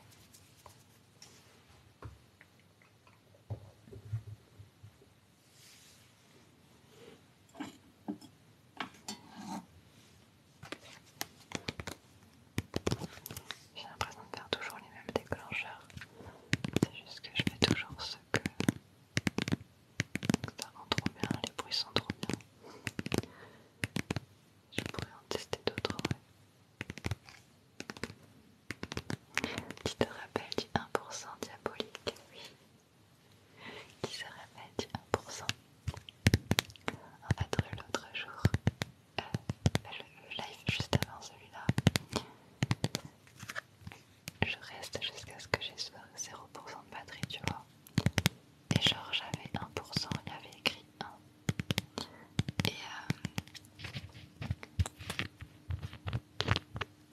J'ai l'impression de faire toujours les mêmes déclencheurs. C'est juste que je fais toujours ce que... Ça rend trop bien, les bruits sont trop bien. Je pourrais en tester d'autres, Qui te rappelle du 1% diabolique, oui. Qui se rappelle du 1%. En fait, l'autre jour, le, live juste avant celui-là. Je reste jusqu'à ce que j'ai 0% de batterie, tu vois. Et genre, j'avais 1%, il avait écrit 1. Et, euh,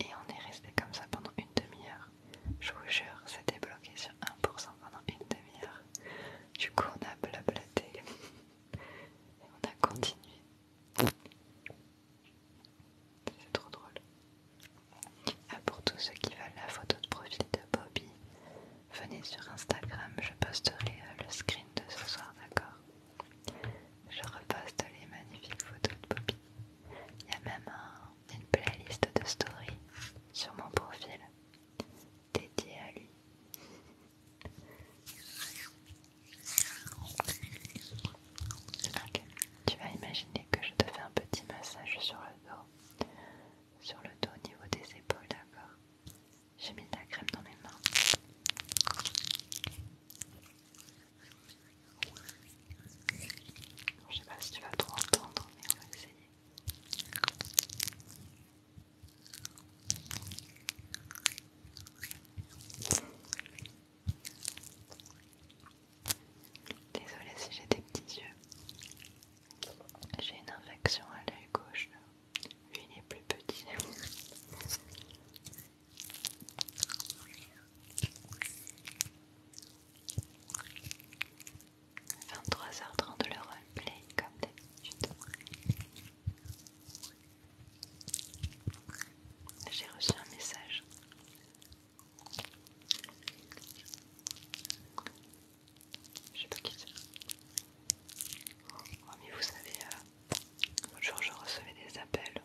et on est resté comme ça pendant une demi-heure. Je vous jure, c'était bloqué sur 1% pendant une demi-heure. Du coup, on a blablaté. Et on a continué. C'est trop drôle. Ah, pour tous ceux qui veulent la photo de profil de Bobby, venez sur Instagram, je posterai euh, le screen de ce soir, d'accord Je reposte les magnifiques photos de Bobby. Il y a même une playlist de stories sur mon profil dédié à lui. tu vas imaginer que je te fais un petit massage sur le dos, sur le dos au niveau des épaules, d'accord J'ai mis de la crème dans mes mains. Je sais pas si tu vas trop entendre, mais on va essayer. Désolée si j'ai des petits yeux. J'ai une infection à l'œil gauche. Lui, il est plus petit. 23h30 trente le roleplay comme d'habitude. J'ai reçu un message. Je sais pas qui c'est. Oh, mais vous savez, euh, l'autre jour je recevais des appels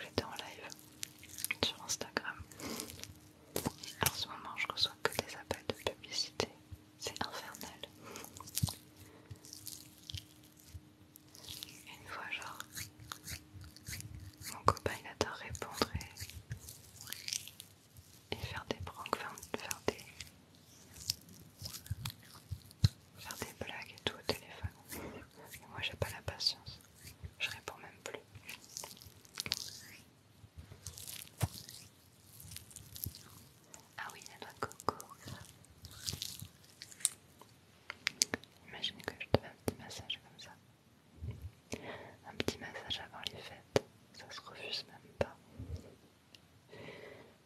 j'étais en live sur Instagram. en ce moment, je reçois que des appels de publicité c'est infernal. Une fois, genre, mon copain il adore répondre et, faire des pranks, faire, des, blagues et tout au téléphone. moi j'ai pas la patience, je réponds même plus. Ah oui, y a de coco. Imaginez que je te fais un petit massage comme ça. Un petit massage avant les fêtes, ça se refuse même pas.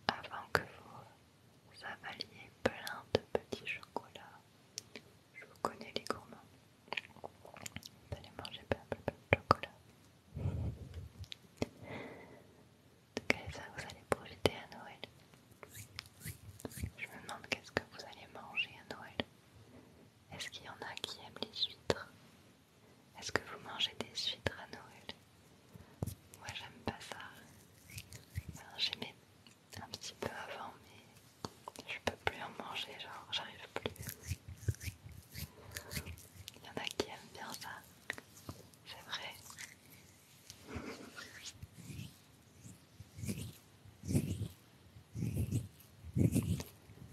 Avant que vous avaliez plein de petits chocolats, je vous connais les gourmands. Vous allez manger plein, de chocolat quelle ça, vous allez profiter à Noël. Je me demande qu'est-ce que vous allez manger à Noël. Est-ce qu'il y en a qui aiment les huîtres Est-ce que vous mangez des huîtres à Noël Moi, j'aime pas ça. J'aimais un petit peu avant, mais je peux plus en manger, genre j'arrive plus. Il y en a qui aiment bien ça. C'est vrai.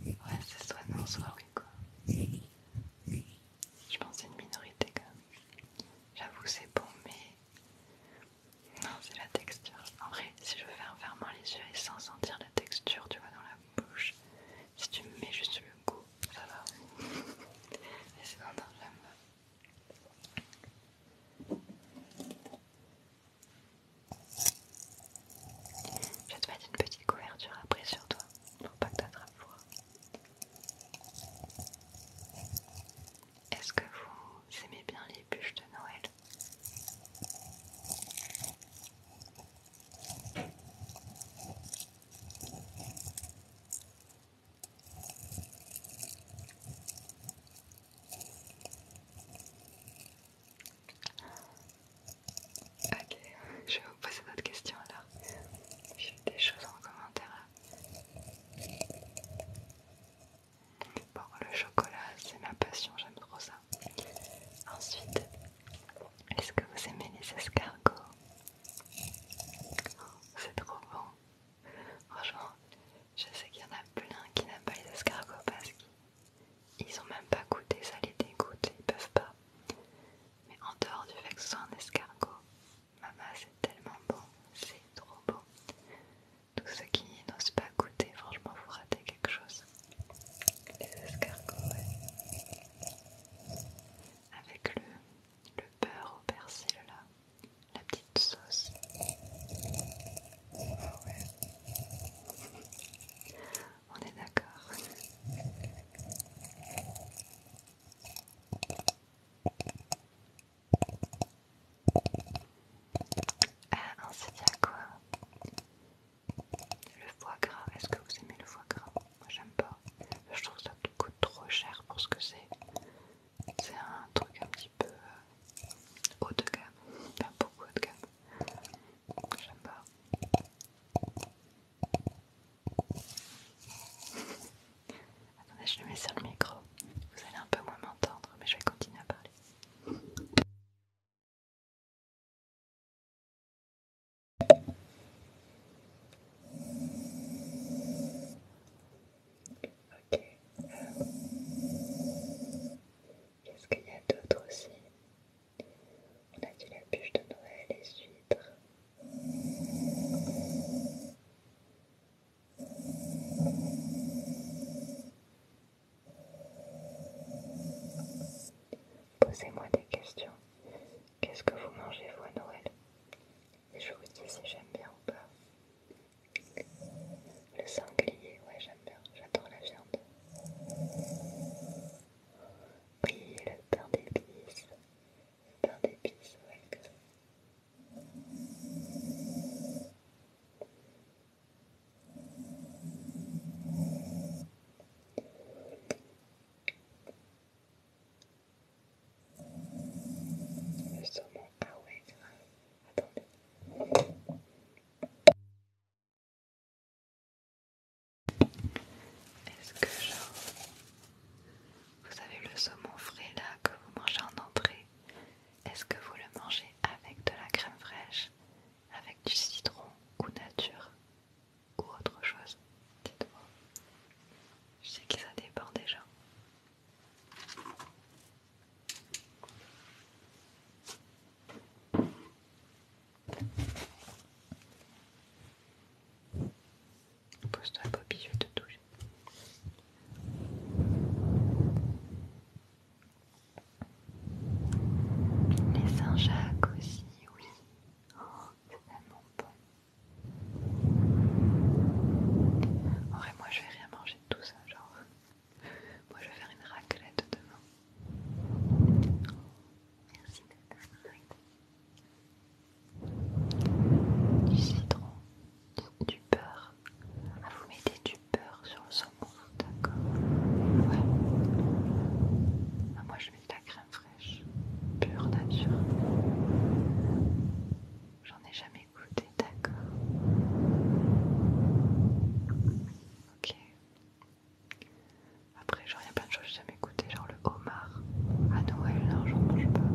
Ouais, c'est soit non, soit oui, quoi. Je pense que c'est une minorité quand même. J'avoue, c'est bon, mais. Non, c'est la texture. En vrai, si je veux faire fermement les yeux et sans sentir la texture, tu vois, dans la bouche, si tu me mets juste le goût, ça va. mais c'est un j'aime Je vais te mettre une petite couverture après sur toi pour pas que t'attrapes froid. Est-ce que vous aimez bien les bûches de Noël Ok, je vais vous poser votre question alors. J'ai des choses en commentaire. Bon, le chocolat, c'est ma passion, j'aime trop ça. Ensuite, est-ce que vous aimez les escargots oh, C'est trop bon. Franchement, je sais qu'il y en a plein qui n'aiment pas les escargots parce qu'ils ont même pas goûté, ça les dégoûte, ils peuvent pas. Mais en dehors du fait que ce soit un escargot, Maman, c'est tellement bon, c'est trop beau. Tous ceux qui n'osent pas goûter, franchement, vous ratez quelque chose. Les escargots, ouais avec le, beurre au persil là, la petite sauce. Ah on est d'accord. Ah, on il y quoi Le foie gras, est-ce que vous aimez le foie gras Moi j'aime pas. Je trouve que ça coûte trop cher pour ce que c'est. C'est un truc un petit peu euh, haut de gamme, pas beaucoup haut de gamme. J'aime pas. <laughs> Attendez, je le mets sur le micro. Vous allez un peu moins m'entendre, mais je vais continuer à parler. Ok. Qu'est-ce qu'il y a d'autre aussi On a dit la bûche de Noël, les huîtres. Posez-moi des questions. Qu'est-ce que vous mangez, vous, à Noël Et je vous dis si j'aime bien ou pas. Le sanglier, ouais, j'aime bien. J'adore la viande. Oui, le pain d'épices. Le pain d'épices, ouais, le saumon, ah ouais, Attendez. Est-ce que genre, vous avez le saumon frais là que vous mangez en entrée Est-ce que vous le mangez avec de la crème fraîche, avec du citron ou nature ou autre chose Dites-moi. Je sais que ça dépend déjà. Pose-toi, Bobby, je vais te touche. Les Saint-Jacques aussi, oui. Oh, c'est tellement bon moi je vais rien manger de tout ça, genre. Moi je vais faire une raclette demain. Merci d'être Du citron, du beurre. Ah, vous mettez du beurre sur le saumon, d'accord Ouais. Ah, moi je mets de la crème fraîche, pure nature. J'en ai jamais goûté, d'accord. Ok. Après, genre, il y a plein de choses que j'ai jamais goûté, genre le homard. À Noël, non, j'en mange pas.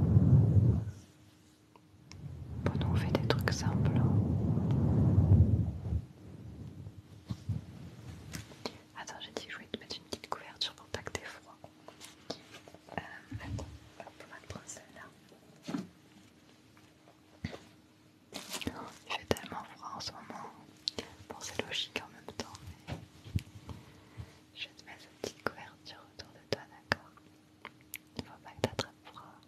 Bon, on fait des trucs simples. Hein. Attends, j'ai dit je voulais te mettre une petite couverture pour pas que froid. Il fait tellement froid en ce moment. Bon, c'est logique en même temps, mais je vais te mettre cette petite couverture autour de toi, d'accord Il ne faut pas que tu attrapes froid.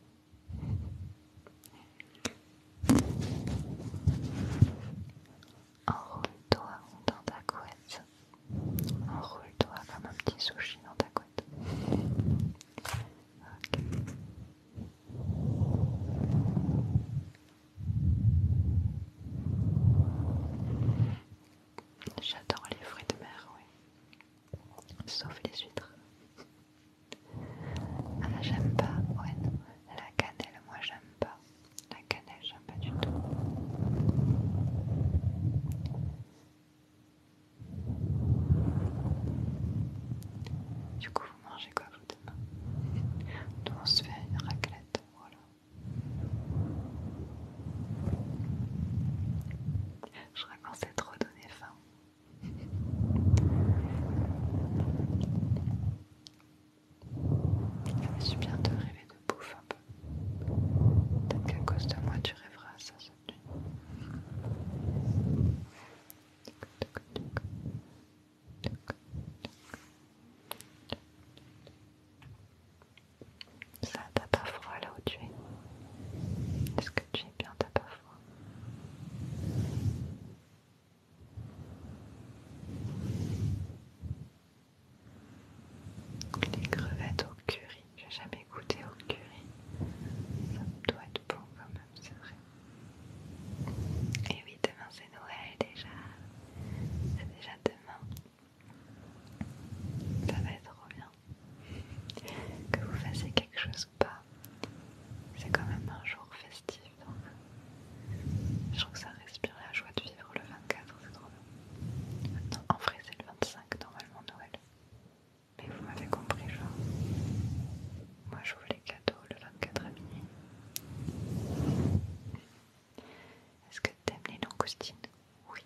Enroule-toi dans ta couette. Enroule-toi comme un petit sushi dans ta couette. J'adore les fruits de mer, oui. Sauf les huîtres. Ah, j'aime pas, ouais. La cannelle, moi, j'aime pas la cannelle, j'aime hein, pas du tout. Du coup, vous mangez quoi vous demain on se fait une raclette, voilà. Je qu'on à trop donner faim. Je me suis bientôt vous bouffe un peu. Peut-être qu'à cause de moi, tu rêveras à ça cette nuit. Ça, t'as pas froid là où tu es Est-ce que tu es bien, t'as pas froid les crevettes au curry, j'ai jamais goûté au curry. Ça doit être bon quand même, c'est vrai. Et oui, demain c'est Noël déjà. C'est déjà demain. Ça va être trop bien. Que vous fassiez quelque chose ou pas, c'est quand même un jour festif. je trouve que ça respire la joie de vivre le 24, c'est Maintenant, en vrai, c'est le 25 normalement Noël. Mais vous m'avez compris, genre. Moi, j'ouvre les cadeaux le 24 avril. Est-ce que t'aimes les langoustines Oui.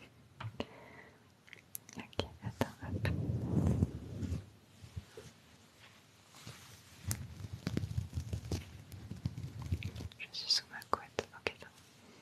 <laughs> ok, attends, hop. Je suis sous ma couette, ok,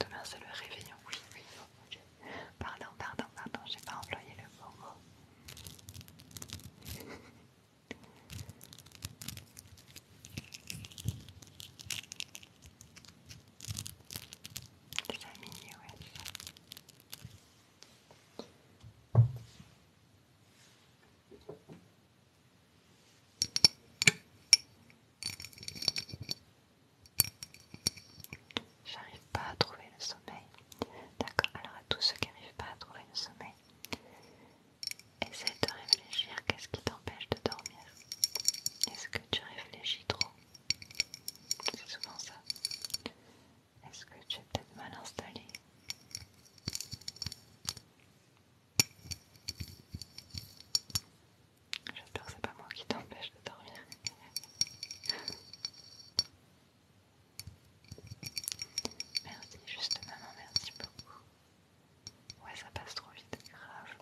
Demain c'est le réveillon, oui, oui, Pardon, pardon, pardon, j'ai pas employé le mot. J'arrive pas à trouver le sommeil. D'accord, alors à tous ceux qui n'arrivent pas à trouver le sommeil, essaie de réfléchir qu'est-ce qui t'empêche de dormir. Est-ce que tu réfléchis trop C'est souvent ça. Est-ce que tu es peut-être mal installé J'espère que c'est pas moi qui t'empêche de dormir. merci, juste maman, merci beaucoup. Ouais, ça passe trop vite, grave.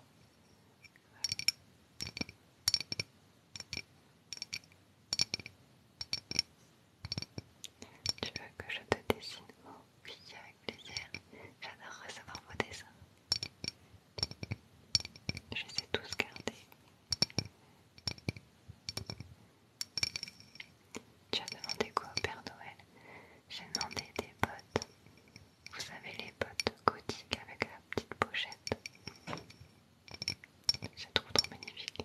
Tu veux que je te dessine oui, avec plaisir. J'adore recevoir vos dessins. Je les ai tous gardés. Tu as demandé quoi au Père Noël J'ai demandé des bottes. Vous savez, les bottes gothiques avec la petite pochette. Je trouve trop magnifique.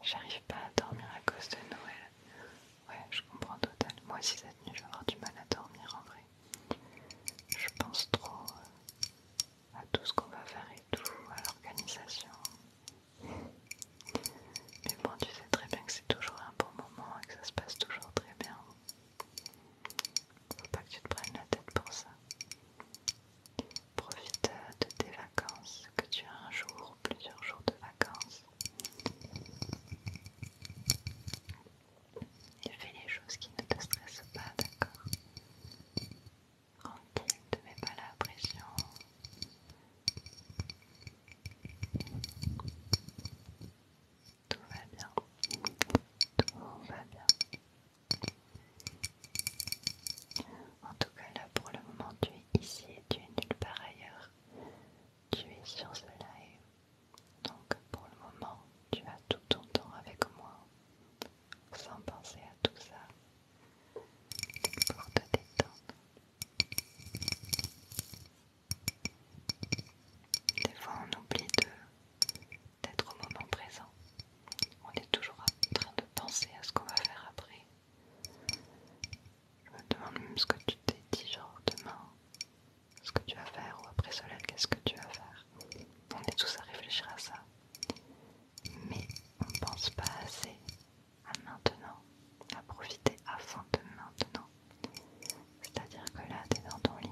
J'arrive pas à dormir à cause de Noël. Ouais, je comprends total. Moi aussi cette nuit, je vais avoir du mal à dormir en vrai. Je pense trop euh, à tout ce qu'on va faire et tout, à l'organisation. Mais bon, tu sais très bien que c'est toujours un bon moment et que ça se passe toujours très bien. Faut pas que tu te prennes la tête pour ça. Profite de tes vacances, que tu as un jour ou plusieurs jours de vacances. Et fais les choses qui ne te stressent pas, d'accord Tranquille, ne te mets pas la pression. Tout va bien. Tout va bien. En tout cas, là pour le moment, tu es ici et tu es nulle part ailleurs. Tu es sur ce live. Donc pour le moment, tu as tout ton temps avec moi, sans penser à tout ça, pour te détendre. Des fois, on oublie d'être au moment présent. On est toujours en train de penser à ce qu'on va faire après. Je me demande même ce que tu t'es dit, genre demain, ce que tu vas faire, ou après cela, qu'est-ce que tu vas faire. On est tous à réfléchir à ça. Mais on ne pense pas assez à maintenant, à profiter avant de maintenant. C'est-à-dire que là, t'es dans ton lit.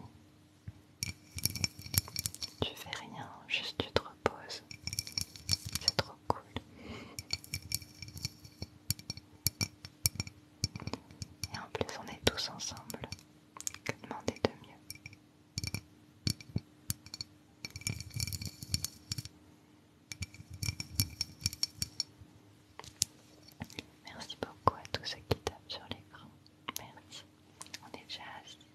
Tu fais rien, juste tu te reposes. C'est trop cool Et en plus, on est tous ensemble. Que demander de mieux? Merci beaucoup à tous ceux qui tapent sur l'écran. Merci. On est déjà assis.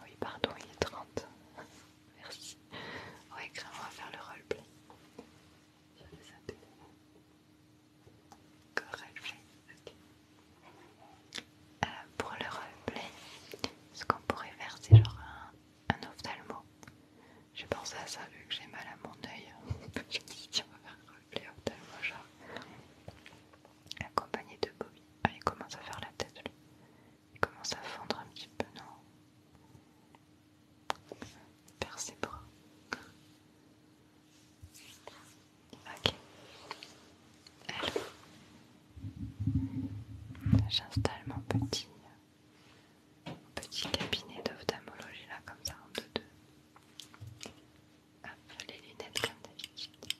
Ah oui, pardon, il est 30. <laughs> Merci. Oui, grave, on va faire le roleplay. Je vais roleplay, ok. Euh, pour le roleplay, ce qu'on pourrait faire, c'est genre un, un ophtalmo. J'ai pensé à ça vu que j'ai mal à mon œil. <laughs> le accompagné de Bobby. Ah, il commence à faire la tête, lui. Il commence à fondre un petit peu, non Perd ses bras. Ok. Alors, j'installe mon petit, petit cabinet d'ophtalmologie là, comme ça, en deux deux. Hop, les lunettes comme d'habitude.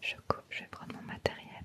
Je coupe, je vais prendre mon matériel.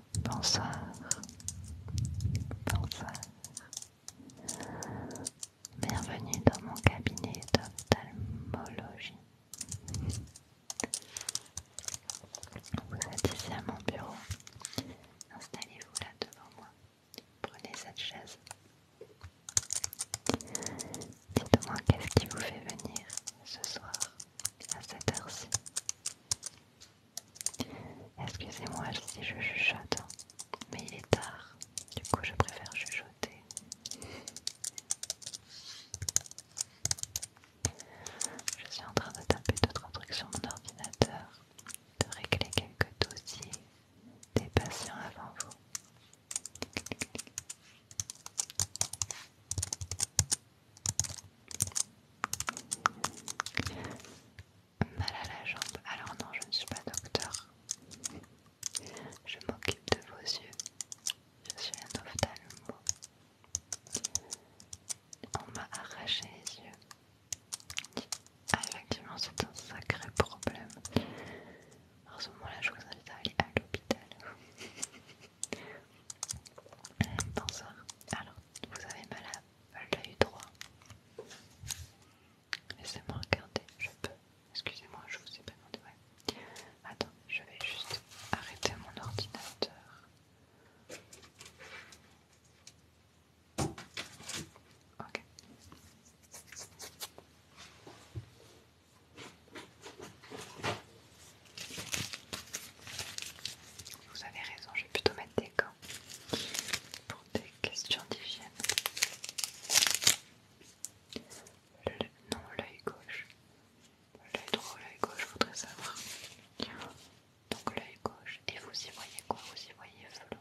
Bonsoir, bonsoir. Bienvenue dans mon cabinet d'ophtalmologie. Vous êtes ici à mon bureau. Installez-vous là devant moi. Prenez cette chaise. Dites-moi qu'est-ce qui vous fait venir ce soir à cette heure-ci. Excusez-moi si je chuchote, mais il est tard, du coup je préfère chuchoter. Je suis en train de taper d'autres trucs sur mon ordinateur, de régler quelques dossiers des patients avant vous. Mal à la jambe. Alors non, je ne suis pas docteur. Je m'occupe de vos yeux. Je suis un ophtalmo. On m'a arraché les yeux. Ah effectivement, c'est un sacré problème. En ce moment-là, je vous invite à aller à l'hôpital. <laughs> Bonsoir. Alors, vous avez mal à elle droit. Laissez-moi regarder, je peux. Excusez-moi, je vous ai pas demandé. Attends, je vais juste arrêter mon ordinateur. Ok. Vous avez raison, je vais plutôt mettre des pour des questions d'hygiène. Non, l'œil gauche. L'œil droit, l'œil gauche, je savoir. Donc l'œil gauche, et vous y voyez quoi Vous y voyez cela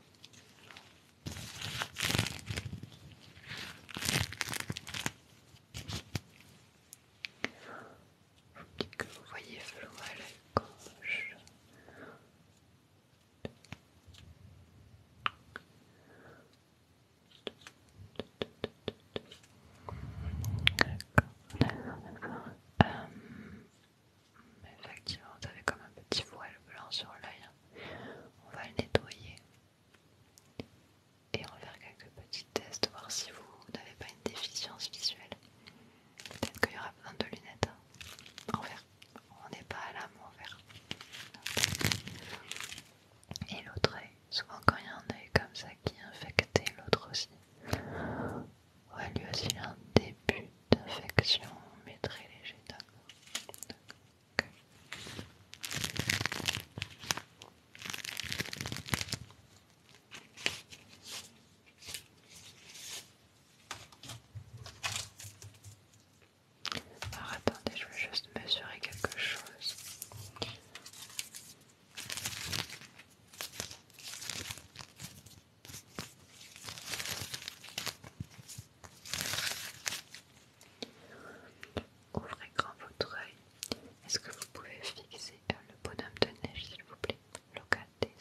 que vous voyez flou à gauche. effectivement, vous avez comme un petit voile blanc sur l'œil. On va le nettoyer et on va faire quelques petits tests, pour voir si vous n'avez pas une déficience visuelle. Peut-être qu'il y aura besoin de lunettes hein. en verre. On n'est pas à l'amour en Et l'autre œil. Souvent, quand il y a un œil comme ça qui est infecté, l'autre aussi. Ouais, lui aussi, il un début d'infection, mais très léger. D'accord. Alors attendez, je vais juste mesurer quelque chose. Ouvrez grand votre œil. Est-ce que vous pouvez fixer euh, le bonhomme de neige, s'il vous plaît Locatez.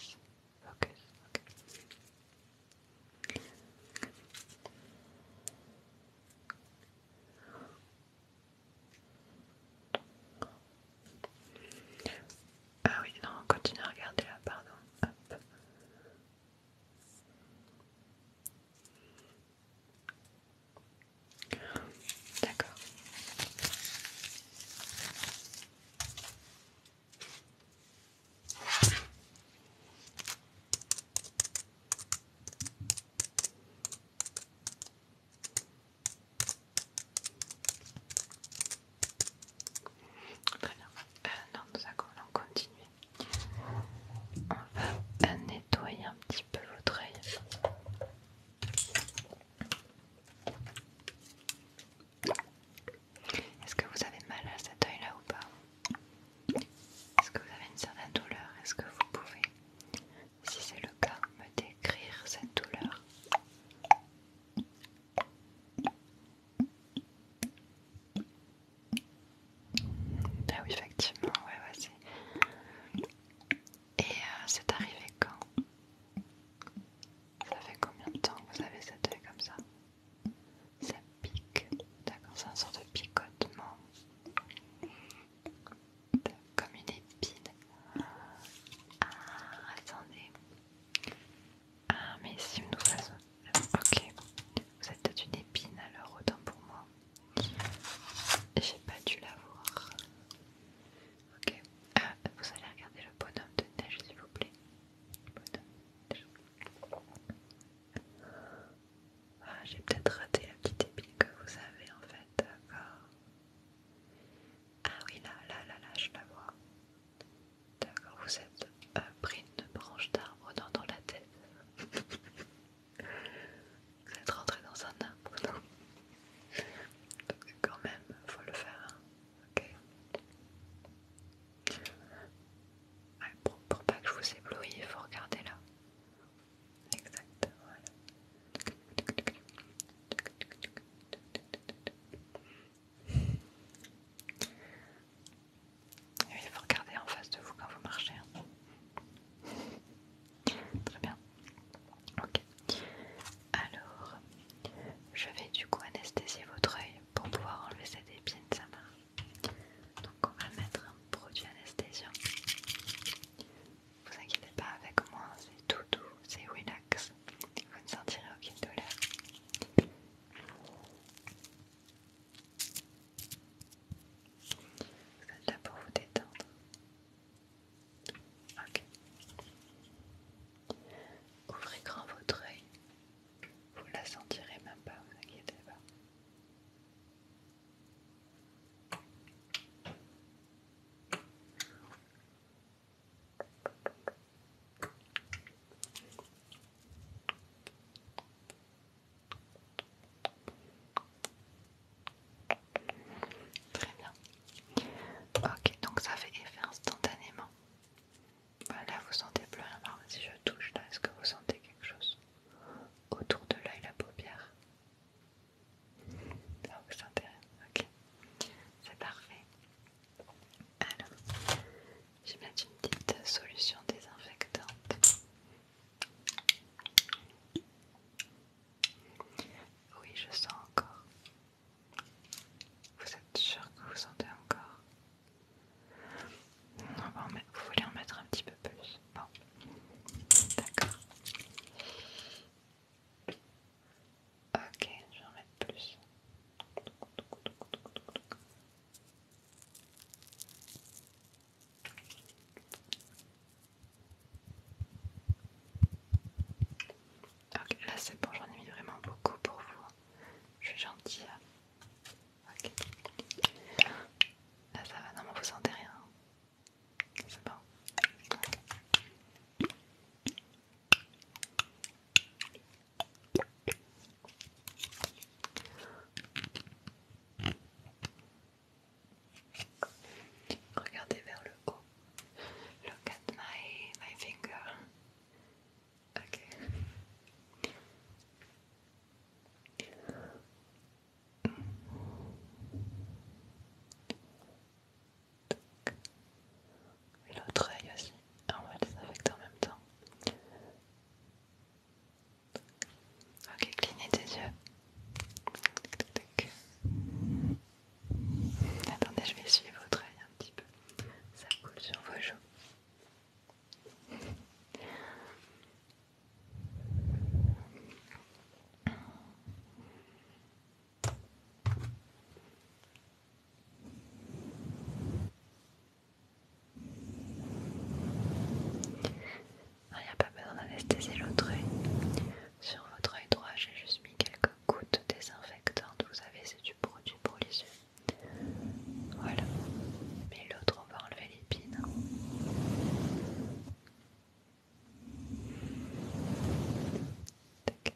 Ah oui, non, on continue à regarder là, pardon. D'accord. Très bien. Euh, non, nous allons continuer. On va euh, nettoyer un petit peu l'autre œil. Est-ce que vous avez mal à cet œil-là ou pas Est-ce que vous avez une certaine douleur Est-ce que vous pouvez, si c'est le cas, me décrire cette douleur Ah oui, effectivement, ouais, vas-y. et euh, c'est arrivé quand ça fait combien de temps que vous avez cette œil comme ça Ça pique. D'accord, c'est un sorte de picotement. Comme une épine. Ah, attendez. Ah, mais si nous faisons. Ok, vous êtes peut une épine alors, autant pour moi. J'ai pas dû la voir. Ok, ah, vous allez regarder le bonhomme de neige s'il vous plaît. Ah, j'ai peut-être raté la petite épine que vous avez en fait, d'accord. Ah oui, là, là, là, là, je la vois. D'accord, vous êtes un euh, pris une branche d'arbre dans, dans la tête. <laughs> vous êtes rentré dans un arbre, Donc quand même, faut le faire. Hein pour, pas que je vous éblouisse, il faut regarder là. Exact, voilà. il faut regarder en face de vous quand vous marchez. Hein. Très bien. Ok. Alors, je vais du coup anesthésier votre œil pour pouvoir enlever cette épine, sa main. Donc on va mettre un produit anesthésiant. Vous inquiétez pas avec moi, c'est tout doux, c'est relax. Vous ne sentirez aucune douleur. Vous êtes là pour vous détendre. Ok. Ouvrez grand votre œil vous la sentirez même pas, vous inquiétez pas. Très bien. Ok, donc ça fait effet instantanément. Voilà, vous sentez plus rien. si je touche là, est-ce que vous sentez quelque chose autour de l'œil, la paupière Vous sentez Ok, c'est parfait. Alors, je vais une petite solution désinfectante. Oui, je sens encore. Vous êtes sûr que vous sentez encore Vous voulez en mettre un petit peu plus Bon, d'accord. Ok, je vais en mettre plus. Ok, là c'est bon, j'en ai mis vraiment beaucoup pour vous. Je suis gentille. Ok. Là ça va, non mais vous sentez rien. C'est bon. Regardez vers le haut. Look at my, my finger. Ok. Et l'autre œil aussi. Ah, on va les affecter en même temps. Ok, clignez tes yeux. Attendez, je vais suivre votre œil un petit peu. Ça coule sur vos joues. Il ah, n'y a pas besoin d'anesthésier l'autre Sur votre œil droit, j'ai juste mis quelques gouttes désinfectantes. Vous savez, c'est produit pour les yeux. Voilà. Mais l'autre, on va enlever l'épine. Tac,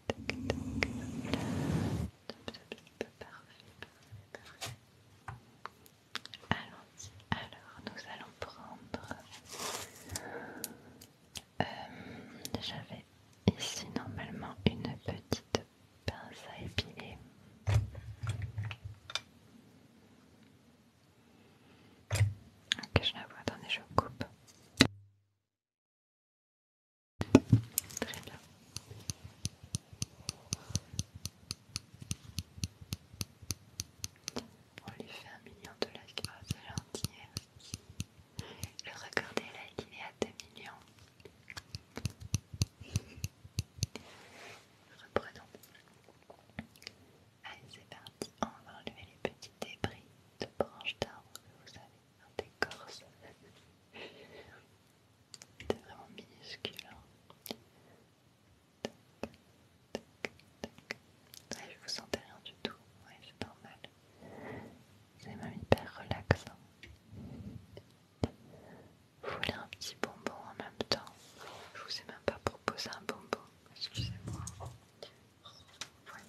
allons Alors, nous allons prendre. Euh, j'avais ici normalement une petite pince à épiler. Ok, je la vois, attendez, je coupe. Très bien. On lui fait un million de likes, oh, c'est gentil. Le record des likes, il est à 2 millions. Reprenons. Allez, c'est parti. On va enlever les petits débris de branches d'arbres que vous avez des décorce. C'était vraiment minuscule. Hein. Tac, tac, je vous sentais rien du tout. Ouais, c'est normal. C'est même hyper relaxant voulez un petit bonbon en même temps. Je vous ai même pas proposé un bonbon, excusez-moi. Voilà.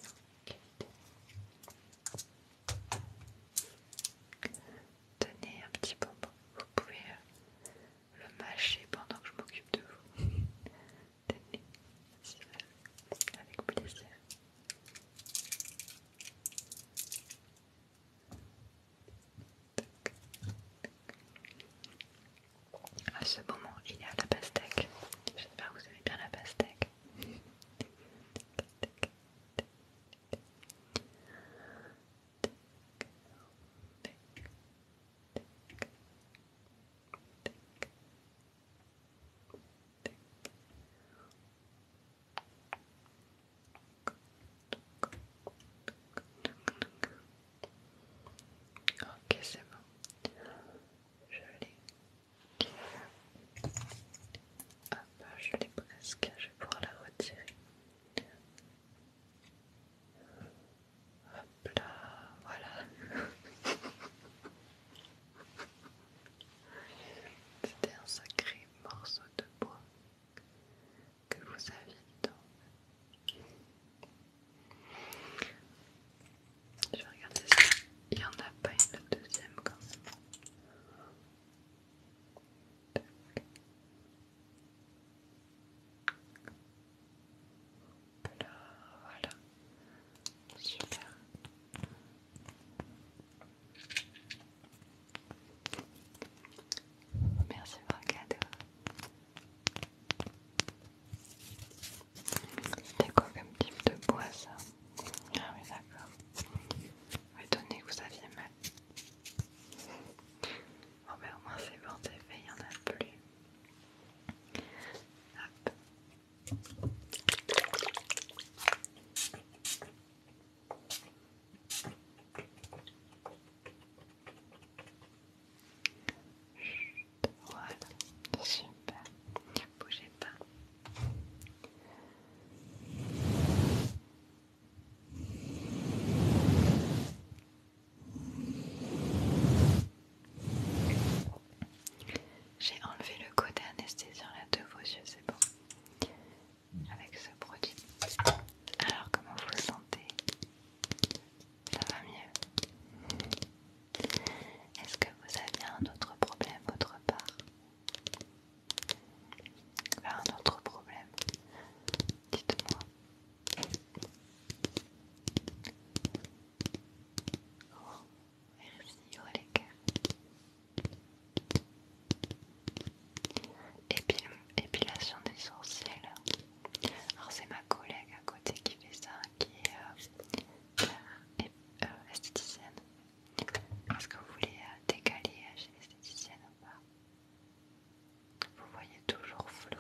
Tenez un petit bonbon, vous pouvez euh, le mâcher pendant que je m'occupe de vous. <laughs> Tenez, avec plaisir. À ce moment, il y a la pastèque. Je sais pas vous avez bien la pastèque. Ok, c'est bon. Je l'ai. Hop, ah, bah, je l'ai presque. Je vais pouvoir la retirer. Hop là, voilà. <laughs> C'était un sacré morceau de bois que vous aviez dedans. Je vais regarder si il n'y en a pas une la deuxième quand même. Là, voilà. Super. Merci pour le cadeau. C'était quoi comme type de bois ça Ah oui d'accord. Étonné que vous aviez mal. Bon ben au moins c'est bon, c'est fait, il y en a plus. Hop super, bougez pas. J'ai enlevé le côté anesthésiant là de vos yeux, c'est bon avec ce produit. Alors comment vous sentez Ça va mieux Est-ce que vous avez un autre problème autre part Un autre problème Dites-moi. Oh, merci, oh les cœurs épilation des sourcils. Alors c'est ma collègue à côté qui fait ça, qui est euh, euh, esthéticienne. Est-ce que vous voulez euh, décaler chez l'esthéticienne ou pas Vous voyez toujours flou.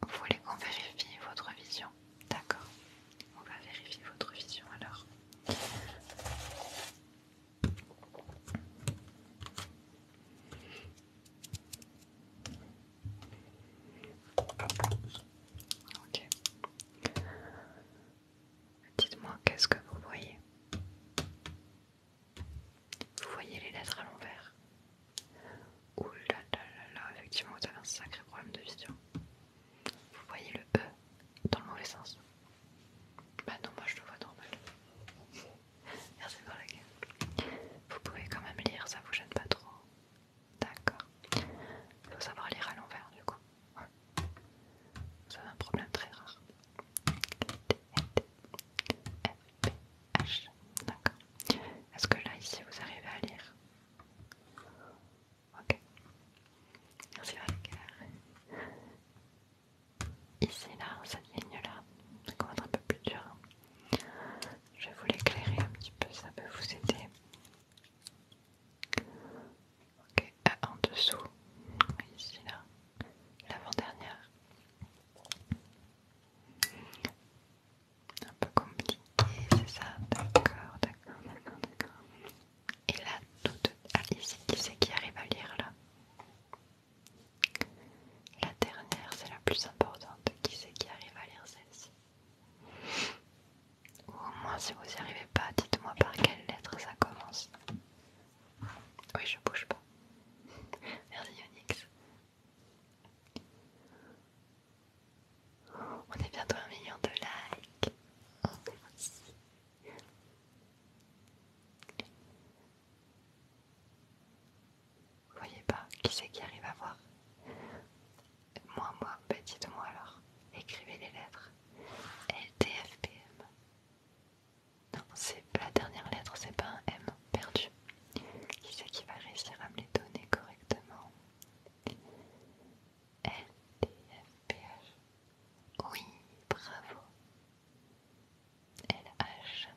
Vous voulez qu'on vérifie votre vision D'accord. On va vérifier votre vision alors. Ok. Dites-moi qu'est-ce que vous voyez Vous voyez les lettres à l'envers Ouh là là là là, effectivement vous avez un sacré problème de vision. Vous voyez le E dans le mauvais sens. Bah non, moi je le vois normal. Merci pour la gueule. Vous pouvez quand même lire, ça vous gêne pas trop. D'accord. Il faut savoir lire à l'envers du coup. Ouais. C'est un problème très rare. D'accord. Est-ce que là ici vous arrivez à lire Ok. Merci Ici, là, cette ligne-là, ça être un peu plus dur. Hein. Je vais vous l'éclairer un petit peu, ça peut vous aider. Ok, ah, en dessous, ici, là, l'avant-dernière. Un peu compliqué, c'est ça D'accord, d'accord, d'accord, d'accord. Et là, toute... Ah, ici, qui c'est qui arrive à lire là La dernière, c'est la plus importante. Qui c'est qui arrive à lire celle-ci Ou au moins, si vous n'y arrivez pas, dites-moi par quelle lettre ça commence. Oui, je bouge pas. <laughs> Merci Yonix. On est bientôt un million de likes. Oh, merci. Vous voyez pas qui c'est qui arrive à voir Moi, moi, bah dites-moi alors. Écrivez les lettres. T, F, M. Non, c'est la dernière lettre, c'est pas un M perdu. Qui c'est qui va réussir à me les donner correctement LTFPH. Oui, bravo. LH.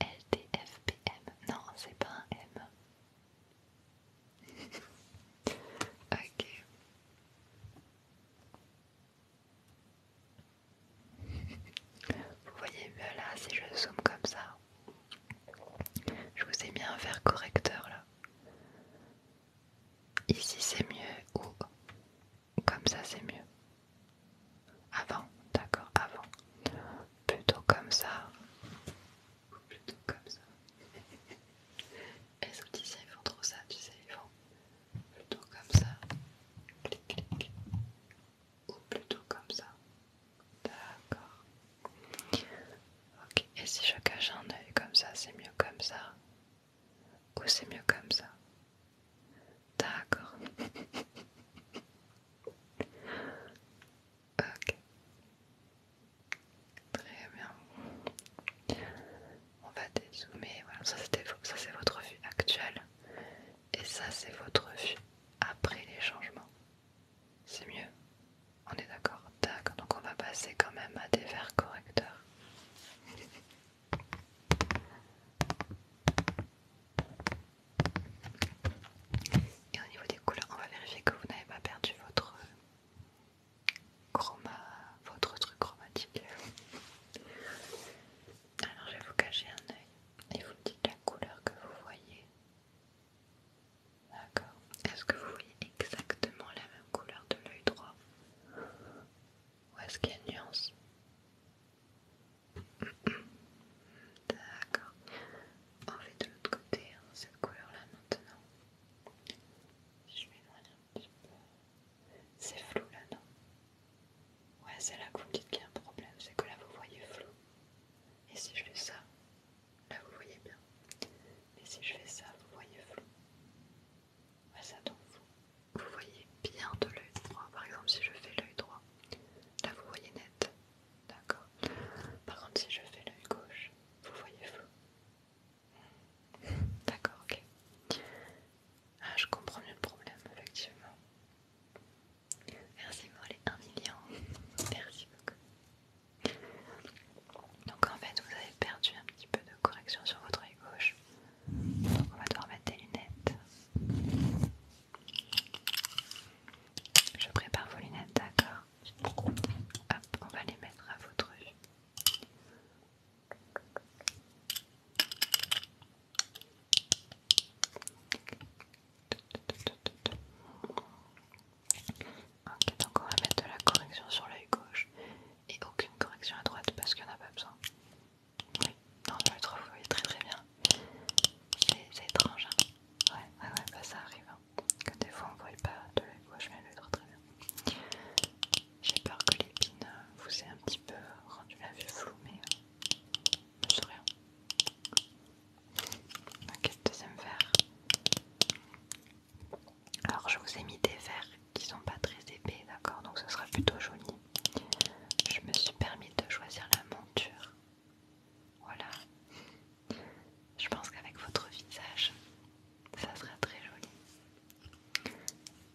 LTFPM. Non, c'est pas un M. <laughs> ok. Vous voyez mieux là si je zoome comme ça. Je vous ai mis un verre correcteur là. Ici c'est mieux ou comme ça c'est mieux. Avant, d'accord, avant. Plutôt comme ça. Ou plutôt comme ça. <laughs> Est-ce tu sais, ils font trop ça, tu sais, ils font plutôt comme ça. Clic clic. Ou plutôt comme ça. D'accord. Ok, et si je cache un œil comme ça, c'est mieux comme ça Ou c'est mieux comme ça D'accord. <laughs> ok. Très bien. On va dézoomer. Voilà, ça c'est votre vue actuelle. Et ça c'est votre vue après les changements. C'est mieux on est d'accord D'accord, donc on va passer quand même à des verres correcteurs. Et au niveau des couleurs, on va vérifier que vous n'avez pas perdu votre euh, chroma, votre truc chromatique. Alors je vais vous cacher un œil et vous me dites la couleur que vous voyez. D'accord. Est-ce que vous voyez exactement la même couleur de l'œil droit Ou est-ce qu'il y a une nuance <coughs> D'accord. On fait de l'autre côté, hein, cette couleur-là maintenant. Je m'éloigne un petit peu. C'est flou là, non Ouais, c'est là que vous me dites qu'il y a un problème, c'est que là vous voyez flou. Et si je fais ça, là vous voyez bien. Mais si je fais ça, vous voyez flou. ça donc vous, voyez bien de l'œil droit. Par exemple, si je fais l'œil droit, là vous voyez net. D'accord. Par contre, si je fais l'œil gauche, vous voyez flou. Hmm. D'accord, ok. Ah, je comprends mieux le problème, effectivement. Merci pour les un million. Merci beaucoup. Donc en fait, vous avez perdu un petit peu de correction sur votre œil gauche. Donc on va devoir mettre des lunettes. Je prépare vos lunettes, d'accord Hop, on va les mettre à votre œil. Ok, donc on va mettre de la correction sur l'œil gauche et aucune correction à droite parce qu'il n'y en a pas besoin. Oui, non, je le trouve très très bien. C'est étrange, hein Ouais, ouais, bah ça arrive. Hein. Que des fois on ne voit pas de l'œil gauche, mais trop très bien. J'ai peur que l'épine euh, vous ait un petit peu rendu la vue floue, mais euh, ne je rien. Ok, deuxième verre. Alors je vous ai mis des verres qui sont pas très épais, d'accord Donc ce sera plutôt joli. Je me suis permis de choisir la monture. Voilà. Je pense qu'avec votre visage, ça sera très joli.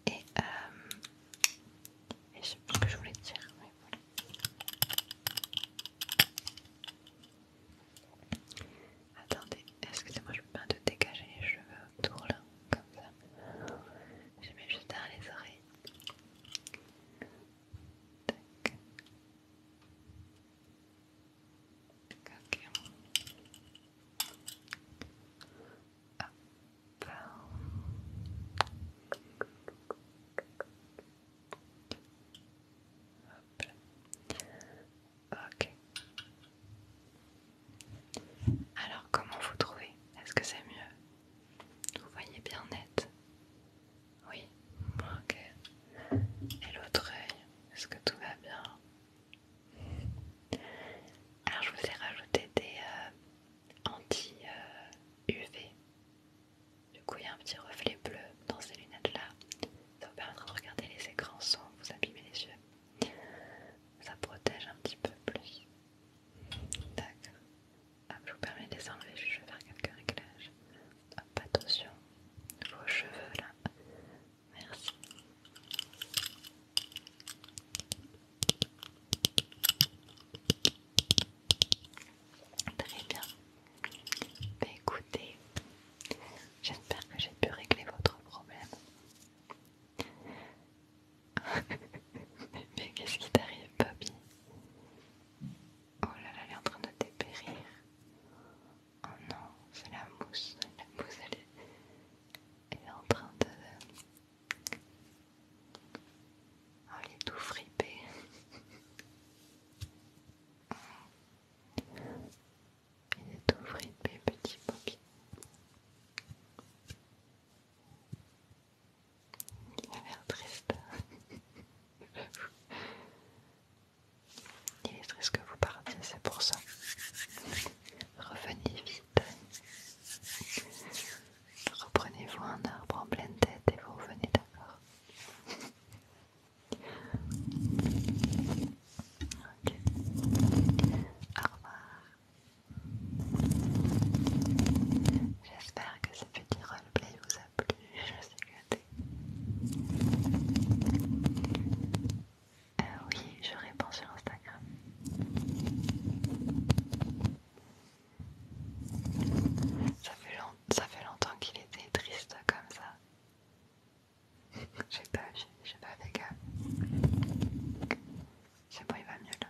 Et, euh, et je ce que je voulais dire. Attendez, excusez-moi, je peux pas te dégager les cheveux autour là, comme ça. Je mets juste derrière les oreilles. Tac. Ok. Alors, comment vous trouvez Est-ce que c'est mieux Vous voyez bien net Oui. Ok. Et l'autre œil, est-ce que tout va bien Alors, je vous ai rajouté des euh, anti-UV. du coup, il y a un petit reflet bleu dans ces lunettes-là. Ça vous permettra de regarder les écrans sans vous abîmer les yeux ça protège un petit peu plus. D'accord. Ah, je vous permets de les enlever, je vais faire quelques réglages. attention, vos cheveux là. Merci. Très bien. Bah, écoutez, j'espère que j'ai pu régler votre problème mais, qu'est-ce qui t'arrive, Bobby Oh là là, elle est en train de dépérir. Oh non, c'est la mousse. La mousse, elle est, elle en train de. Oh, elle est tout fripée. Il de ouvert, mes petits papiers. Il a l'air triste. <laughs> Il est triste que vous partiez, c'est pour ça. Revenez vite. Reprenez-vous un arbre en pleine tête et vous revenez d'accord. Au revoir. J'espère que ce petit roleplay vous a plu. Je suis gâté. Euh, oui, je réponds sur Instagram. ça fait longtemps qu'il était triste comme ça sais pas, sais pas fait gaffe. C'est bon, il va mieux là.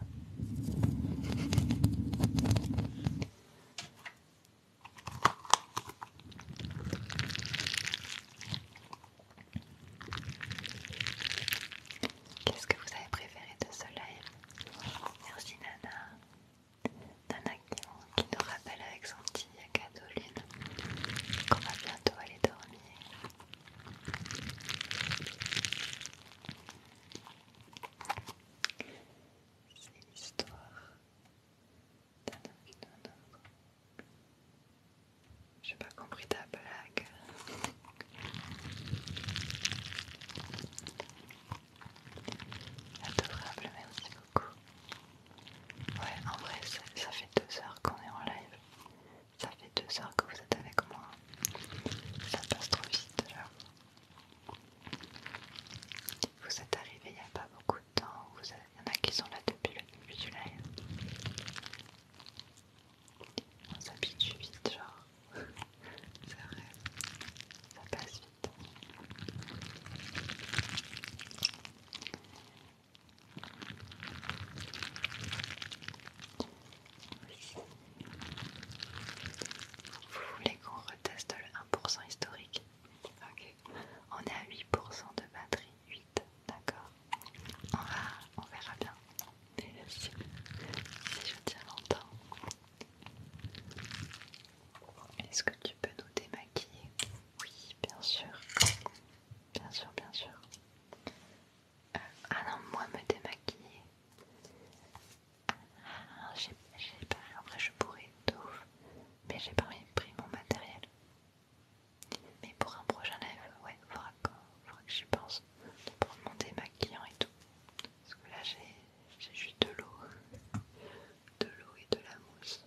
Qu'est-ce que vous avez préféré de ce live Merci Nana. Nana qui nous rappelle avec son petit cadeau Lune qu'on va bientôt aller dormir. C'est l'histoire d'un homme qui donne un J'ai pas compris ta blague. Adorable, merci beaucoup. Ouais, en vrai, ça fait deux heures qu'on est en live. Ça fait deux heures que vous êtes avec moi. Ça passe trop vite Vous êtes arrivés il n'y a pas beaucoup de temps. Il y en a qui sont là depuis le début du live. On s'habitue vite, genre. <laughs> C'est vrai. Ça passe vite. Vous voulez qu'on reteste le 1% historique Ok. On est à 8% de batterie. 8, d'accord on, verra bien. Si, si je tiens longtemps. Est-ce que tu peux nous démaquiller Oui, bien sûr. Bien sûr, bien sûr ah non, moi me démaquiller. Ah, en j'ai je pourrais de ouf, mais j'ai pas pris mon matériel. Mais pour un prochain live, ouais, faudra que, faudra que j'y pense. Pour mon démaquillant et tout. Parce que là, j'ai juste de l'eau. De l'eau et de la mousse.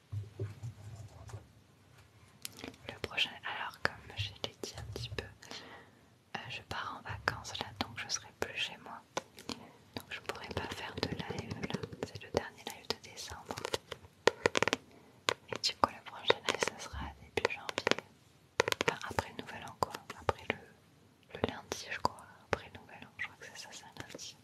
Le prochain, alors comme je l'ai dit un petit peu, euh, je pars en vacances là, donc je serai plus chez moi. Donc je pourrai pas faire de live là. C'est le dernier live de décembre. Et du coup, le prochain live, ça sera début janvier. Enfin, après nouvel an quoi. Après le, lundi, je crois. Après nouvel an, je crois que c'est ça, c'est lundi.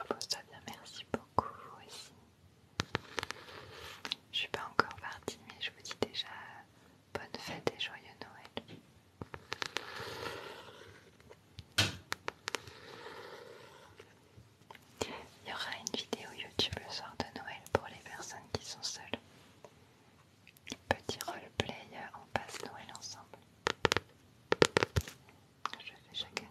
Repose-toi bien, merci beaucoup vous aussi. Je suis pas encore partie, mais je vous dis déjà bonne fête et joyeux Noël. Il y aura une vidéo YouTube le soir de Noël pour les personnes qui sont seules. Petit roleplay, on passe Noël ensemble. Je fais chaque année.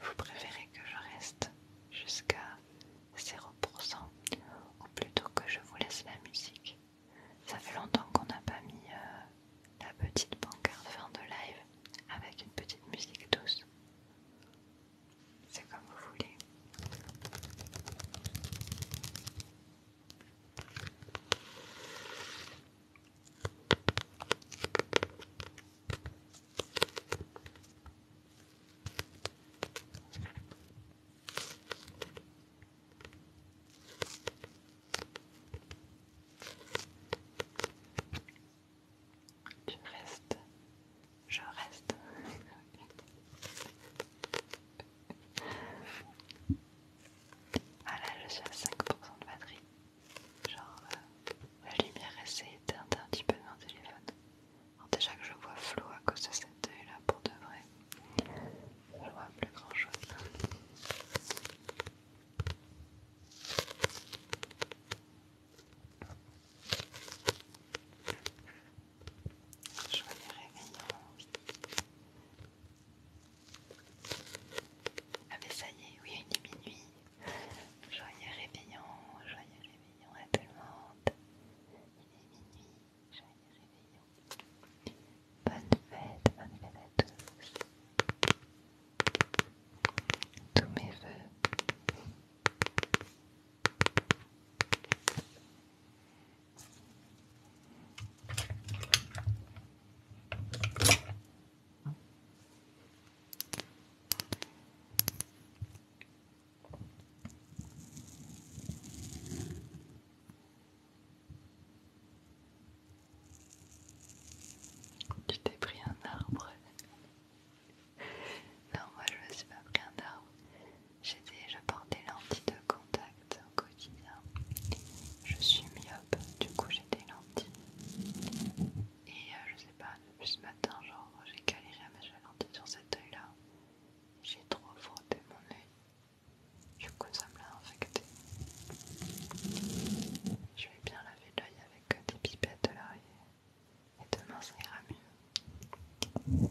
Vous préférez que je reste jusqu'à 0% ou plutôt que je vous laisse la musique Ça fait longtemps qu'on n'a pas mis euh, la petite pancarte fin de live avec une petite musique douce. C'est comme vous voulez. Tu restes. Je reste. <laughs> Ah là, je suis à 5% de batterie. Genre, euh, la lumière essaie d'éteindre un petit peu de mon téléphone. Alors déjà que je vois flou à cause de cet œil là pour de vrai. Je vois plus grand chose. Joyeux réveillon, Ah mais ça y est, oui, il est minuit. Joyeux réveillon, joyeux réveillon à tout le monde. Il est minuit, joyeux réveillon. Bonne fête, bonne fête à tous. Tous mes voeux. Tu t'es pris un arbre non, moi je me suis pas pris un arbre. J'étais, je portais lentilles de contact au quotidien. Je suis myope, du coup j'ai des lentilles. Et euh, je sais pas, depuis ce matin, genre j'ai galéré à mettre la lentille sur cet oeil là. J'ai trop frotté mon œil. Du coup ça me l'a infecté. Je vais bien laver l'œil avec des pipettes de l'arrière. Et demain, ça ira mieux.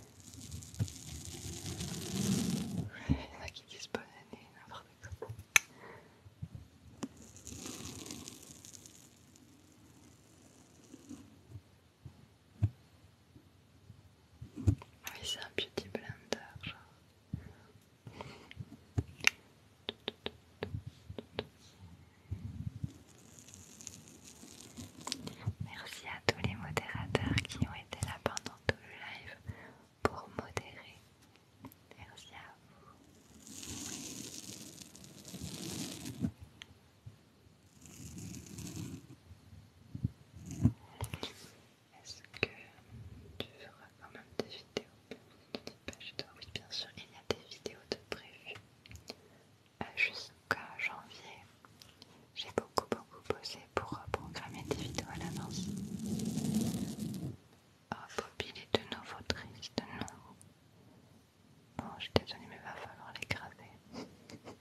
Il y en a qui disent bonne année, n'importe quoi. Oui, c'est un beauty blender, genre. Merci à tous les modérateurs qui ont été là pendant tout le live pour modérer. Merci à vous. Est-ce que tu feras quand même des vidéos pas, oui, bien sûr, il y a des vidéos de prévu. Euh, jusqu'à janvier, j'ai beaucoup beaucoup posé pour programmer des vidéos à l'avance. Oh Bobby, il est de nouveau triste, non Bon, je suis mais il va falloir l'écraser.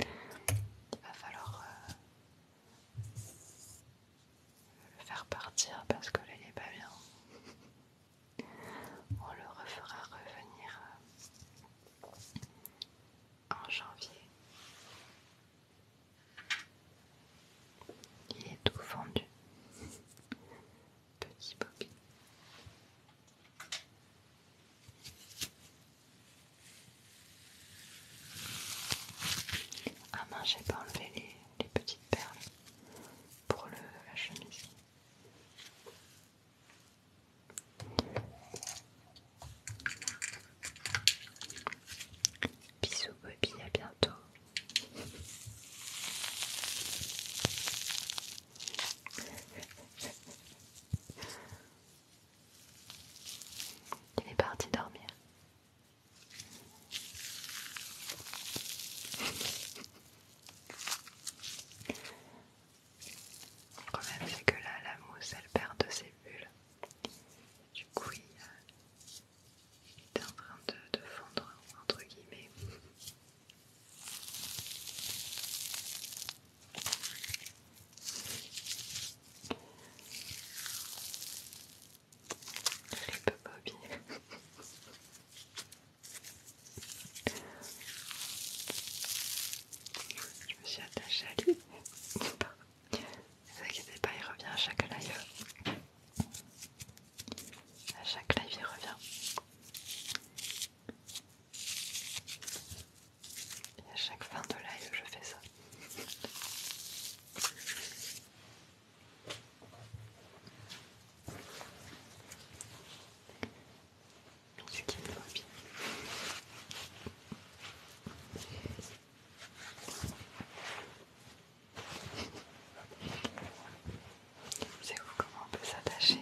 il va falloir euh, le faire partir parce que là, il est pas bien. On le refera revenir euh, en janvier. Il est tout fondu, Petit Bobby. Ah mince, j'ai pas enlevé les, petites perles pour la chemise. Bisous Bobby, à bientôt. Il est parti dormir. Le problème c'est que là la mousse elle perd de ses bulles. Du coup il, euh, est en train de, fondre entre guillemets. pas Bobby. <laughs> Je me suis attachée à lui. Ne vous inquiétez pas, il revient à chaque live. À chaque live, il revient. Et à chaque fin de live, je fais ça ce qui me va bien. C'est vous comment on peut s'attacher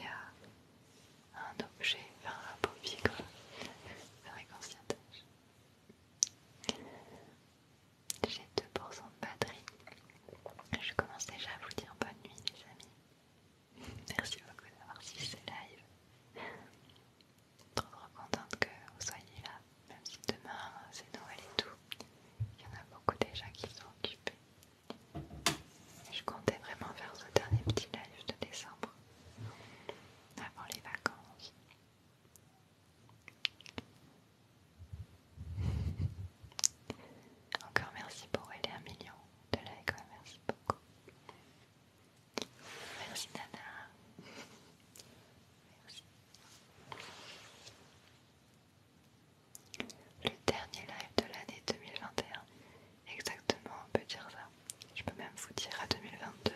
à un objet, faire un paupier quoi. faire un qu'on J'ai 2% de batterie. Je commence déjà à vous dire bonne nuit les amis. Merci beaucoup d'avoir suivi ce live. Trop trop contente que vous soyez là, même si demain c'est Noël et tout. Il y en a beaucoup déjà qui sont occupés. Je comptais vraiment faire ce dernier petit live de décembre, avant les vacances. Encore merci pour aider un million de like, merci beaucoup. Merci Nana. Le dernier live de l'année 2021. Exactement, on peut dire ça. Je peux même vous dire à 2022.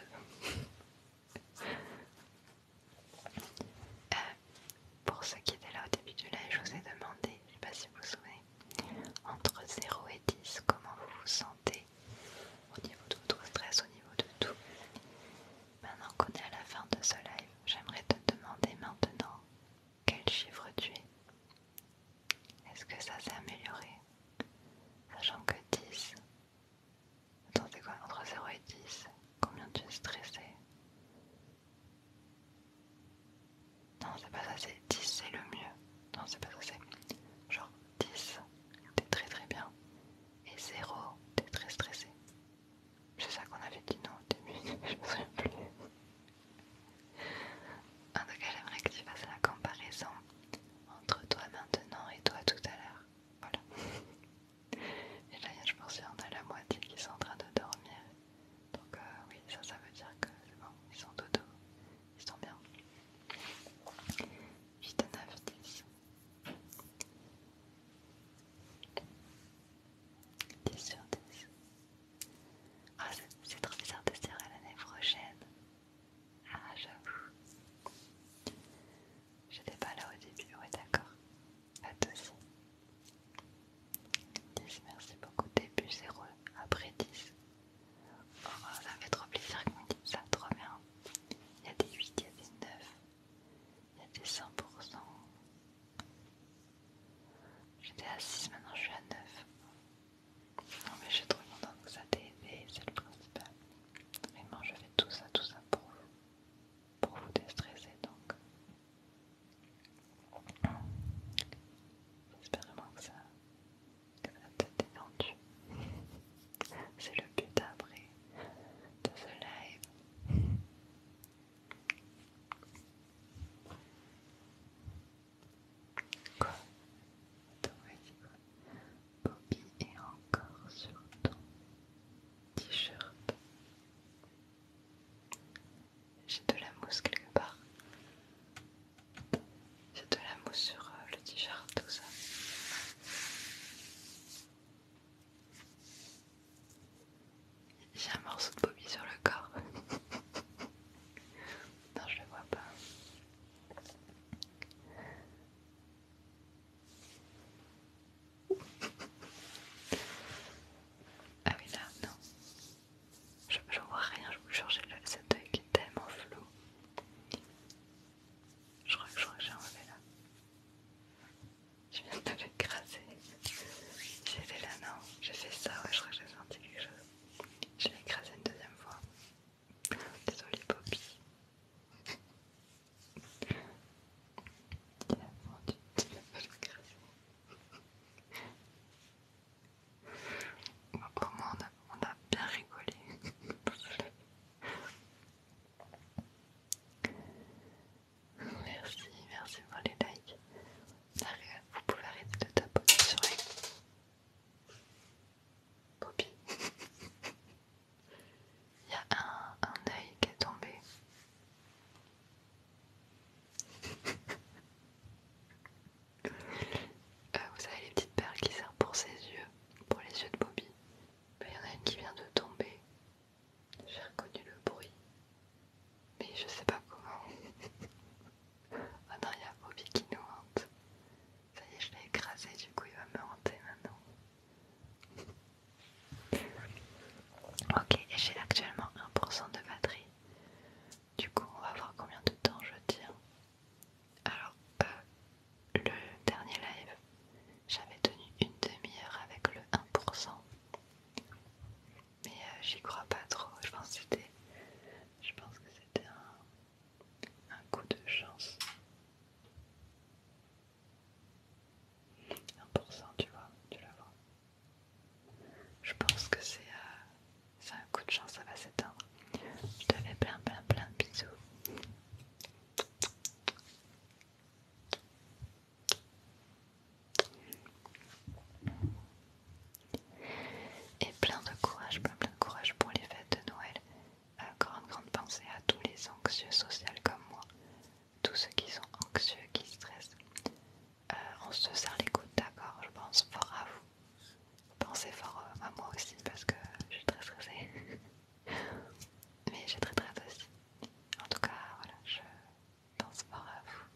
<laughs> Euh, pour ceux qui étaient là au début du live, je vous ai demandé, je sais pas si vous vous souvenez, entre 0 et 10, comment vous vous sentez au niveau de votre stress, au niveau de tout. Maintenant qu'on est à la fin de ce live, j'aimerais te demander maintenant quel chiffre tu es. Est-ce que ça s'est amélioré Sachant que 10, attendez quoi, entre 0 et 10, combien tu es stressé non, c'est pas ça, c'est 10, c'est le mieux. Non, c'est pas ça, c'est genre 10, t'es très très bien. Et 0, t'es très stressé. C'est ça qu'on avait dit non au début, <laughs> je me souviens plus. En tout cas, j'aimerais que tu fasses la comparaison entre toi maintenant et toi tout à l'heure. Voilà. <laughs> Et là, je pense qu'il y a la moitié qui sont en train de dormir. Donc euh, oui, ça, ça veut dire que c'est bon, ils sont dodo. Ils sont bien. 8 9, 10. 10 sur 10. Ah, c'est trop bizarre de se dire à l'année prochaine. Ah, j'avoue. J'étais pas là au début, ouais, d'accord. À toi aussi. 10, merci beaucoup. Début 0, après 10. Oh, ça fait trop plaisir que vous me dites ça, trop bien. Il y a des 8, il y a des 9, il y a des 100%. J'étais à 6, maintenant je suis à 9. Non mais j'ai suis trop contente que ça t'ait aidé, c'est le principal. Vraiment, je fais tout ça, tout ça pour vous, pour vous déstresser donc. J'espère vraiment que ça, la tête vendue. C'est le but après de ce live. Quoi Attends, vas-y Bobby est encore sur ton t-shirt. J'ai de la mousse quelque part. J'ai de la mousse sur euh, le t-shirt, tout ça. J'ai un morceau de bobby sur le corps. <laughs> non, je le vois pas. Ah oui, là, non. Je, vois rien, je vous jure, cet œil qui est tellement flou. Je crois que j'ai enlevé là. Je viens de l'écraser. J'étais là, non J'ai fait ça, ouais, je crois que j'ai senti quelque chose. Je l'ai écrasé une deuxième fois. Désolée, Poppy. vendu, pour moi on a bien rigolé. merci, merci pour les likes. Vous pouvez arrêter de tapoter sur les Poppy. Il y a un, un œil qui est tombé. Euh, vous savez les petites perles qui servent pour ses yeux, pour les yeux de Bobby. Ben, il y en a une qui vient de tomber. J'ai reconnu le bruit. Mais je sais pas comment. ah <laughs> non, il y a Bobby qui nous hante. Ça y est, je l'ai écrasé, du coup il va me hanter maintenant. Ok, et j'ai actuellement 1% de batterie. Du coup, on va voir combien de temps je tiens. Alors, le dernier live, j'avais tenu une demi-heure avec le 1%. Mais euh, j'y crois pas trop. Je pense que c'était... Je pense que c'était un, coup de chance. 1% tu vois, tu la Je pense que c'est... à... Euh, ça un coup de chance, ça va s'éteindre. Je te fais plein, plein, plein de bisous. Et plein de courage, plein, plein de courage pour les fêtes de Noël. Euh, grande, grande pensée à tous les anxieux sociaux comme moi, tous ceux qui sont anxieux, qui stressent. Euh, on se serre les coudes, d'accord Je pense fort à vous. Pensez fort euh, à moi aussi parce que je suis très stressée. <laughs> Mais j'ai très très aussi. En tout cas, voilà, je pense fort à vous.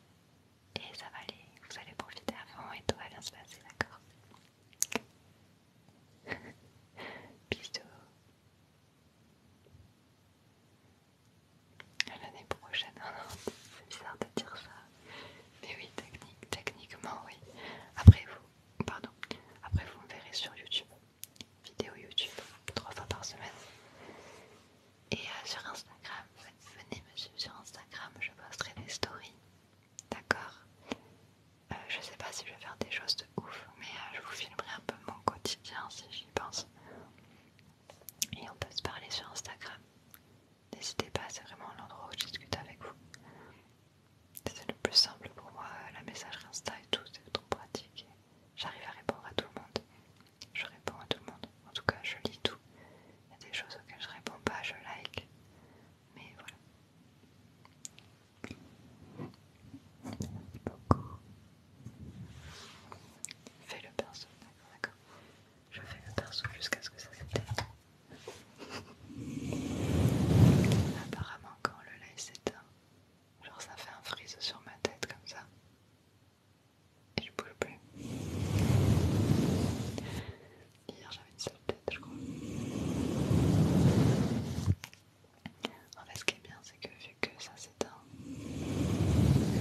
Et ça va aller, vous allez profiter avant et tout va bien se passer, d'accord <laughs> Bisous. À l'année prochaine. <laughs> C'est bizarre de dire ça. Mais oui, techniquement, oui. Après vous, pardon, après vous me verrez sur YouTube, vidéo YouTube, trois fois par semaine. Et euh, sur Instagram, venez me suivre sur Instagram, je posterai des stories. D'accord Je euh, Je sais pas si je vais faire des choses de ouf, mais euh, je vous filmerai un peu mon quotidien si j'y pense. Et on peut se parler sur Instagram. N'hésitez pas, c'est vraiment l'endroit où je discute avec vous c'était le plus simple pour moi, la messagerie Insta et tout, c'est trop pratique. J'arrive à répondre à tout le monde. Je réponds à tout le monde. En tout cas, je lis tout. Il y a des choses auxquelles je réponds pas, je like. Mais voilà. Merci beaucoup. Fais le perso, d'accord, d'accord. Je fais le perso jusqu'à ce que ça s'éteigne. Apparemment, quand le live s'éteint, genre ça fait un frise sur ma tête comme ça. Et je bouge plus. Hier j'avais une seule tête, je crois. En fait, ce qui est bien, c'est que vu que ça s'éteint,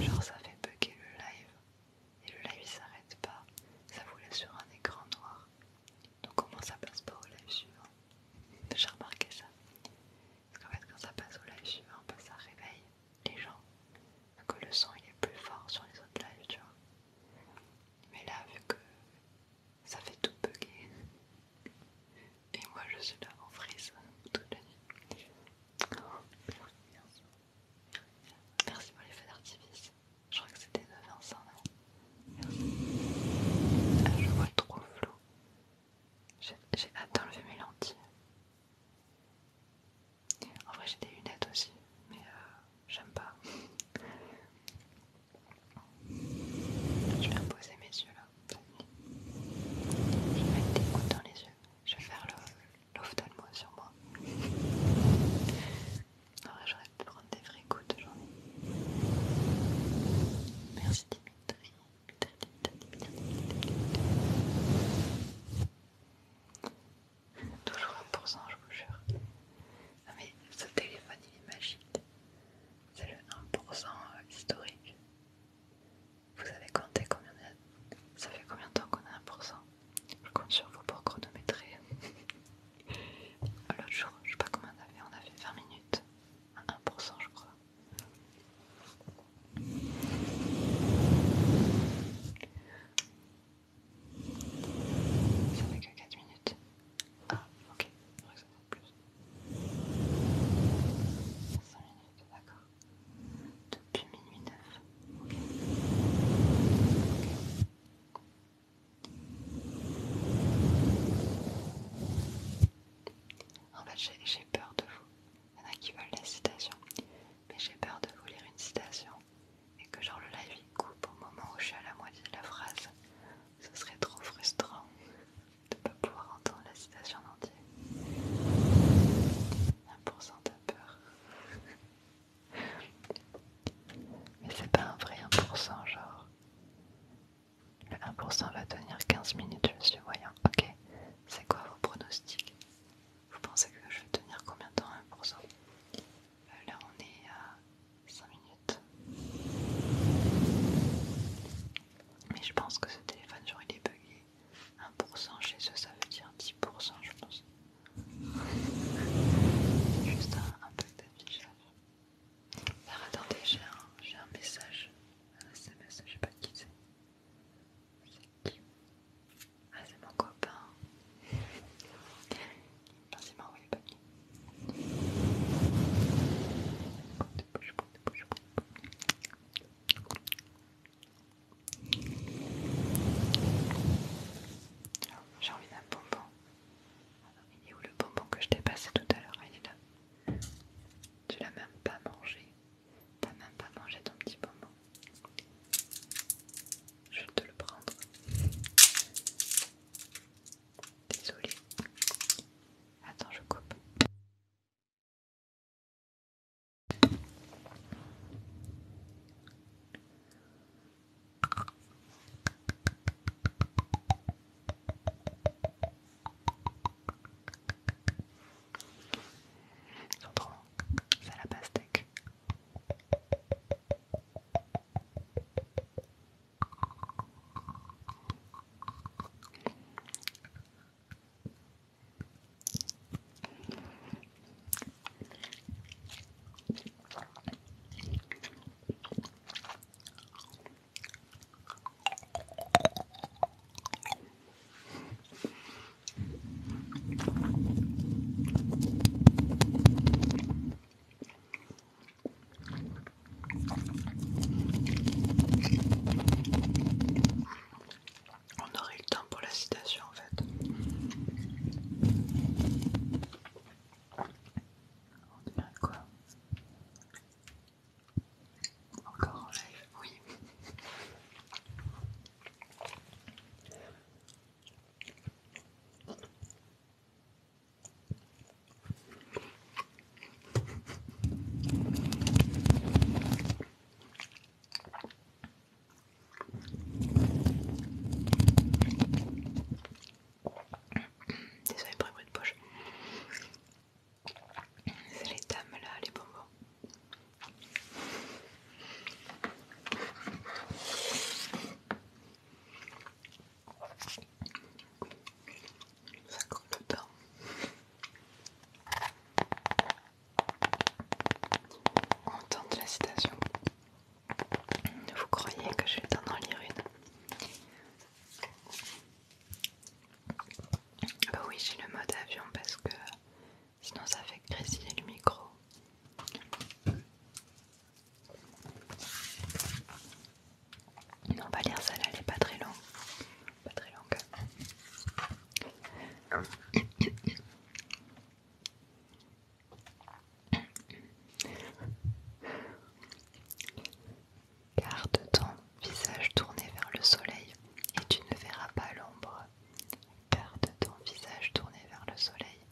genre ça fait bugger le live. Et le live il s'arrête pas, ça vous laisse sur un écran noir. Donc au moins ça passe pas au live suivant. J'ai remarqué ça. Parce qu'en fait quand ça passe au live suivant, bah, ça réveille les gens. Donc le son il est plus fort sur les autres lives, tu vois. Mais là vu que ça fait tout bugger. <laughs> Et moi je suis là en frise toute la nuit. merci pour les feux d'artifice. Je crois que c'était de Vincent, ah, Je vois trop flou. J'ai hâte d'enlever mes lentilles. En vrai, j'ai des lunettes aussi, mais euh, j'aime pas. Je vais reposer mes yeux là. Je vais mettre des gouttes dans les yeux. Je vais faire l'ophtalmo sur moi. En vrai, j'aurais de prendre des vrais goûts de journée. Merci Dimitri. Toujours 1%, je vous jure. Non mais ce téléphone il est magique. C'est le 1% euh, historique. Vous avez compté combien de... Ça fait combien de temps qu'on a 1% Je compte sur vous pour chronométrer. L'autre jour, je sais pas combien on a fait, on a fait 20 minutes 1% je crois. Ça fait que 4 minutes. Ah, ok, je crois que ça fait plus. 5 minutes, d'accord. Depuis minuit 9. En fait, j'ai peur de vous. Il y en a qui veulent la citation, mais j'ai peur de vous lire une citation et que genre le live il coupe au moment où je suis à la moitié de la phrase. Ce serait trop frustrant de ne pas pouvoir entendre la citation en entier. 1% de peur. <laughs> Mais c'est pas un vrai 1%, genre. Le 1% va tenir 15 minutes, je me suis voyant. Ok, c'est quoi vos pronostics Vous pensez que je vais tenir combien de temps 1% euh, Là, on est à 5 minutes. Mais je pense que ce téléphone, genre, il est bugué. 1% chez eux, ça veut dire 10%, je pense. <laughs> Juste un, bug peu d'affichage. Alors attendez, j'ai un, message. Un SMS, je sais pas qui c'est. C'est qui Ah, c'est mon copain. Merci, m'a envoyé pas qui. J'ai envie d'un bonbon. Il est où le bonbon que je t'ai passé tout à l'heure Il est là. Tu l'as même pas mangé. T'as même pas mangé ton petit bonbon. Je vais te le prendre. Désolée. Attends, je coupe. J'entends, c'est la pastèque. On aurait eu le temps pour la citation en fait. On est quoi Encore en live, oui. Désolé pour les bruits de poche. C'est les dames là, les bonbons. Ça court le temps. On tente la citation. Vous croyez que je vais en lire une Bah oui, j'ai le mode avion parce que sinon ça fait grésiller le micro. Non, va lire ça là elle est pas très longue. Pas très longue. Hein Garde ton visage tourné vers le soleil et tu ne verras pas l'ombre. Garde ton visage tourné vers le soleil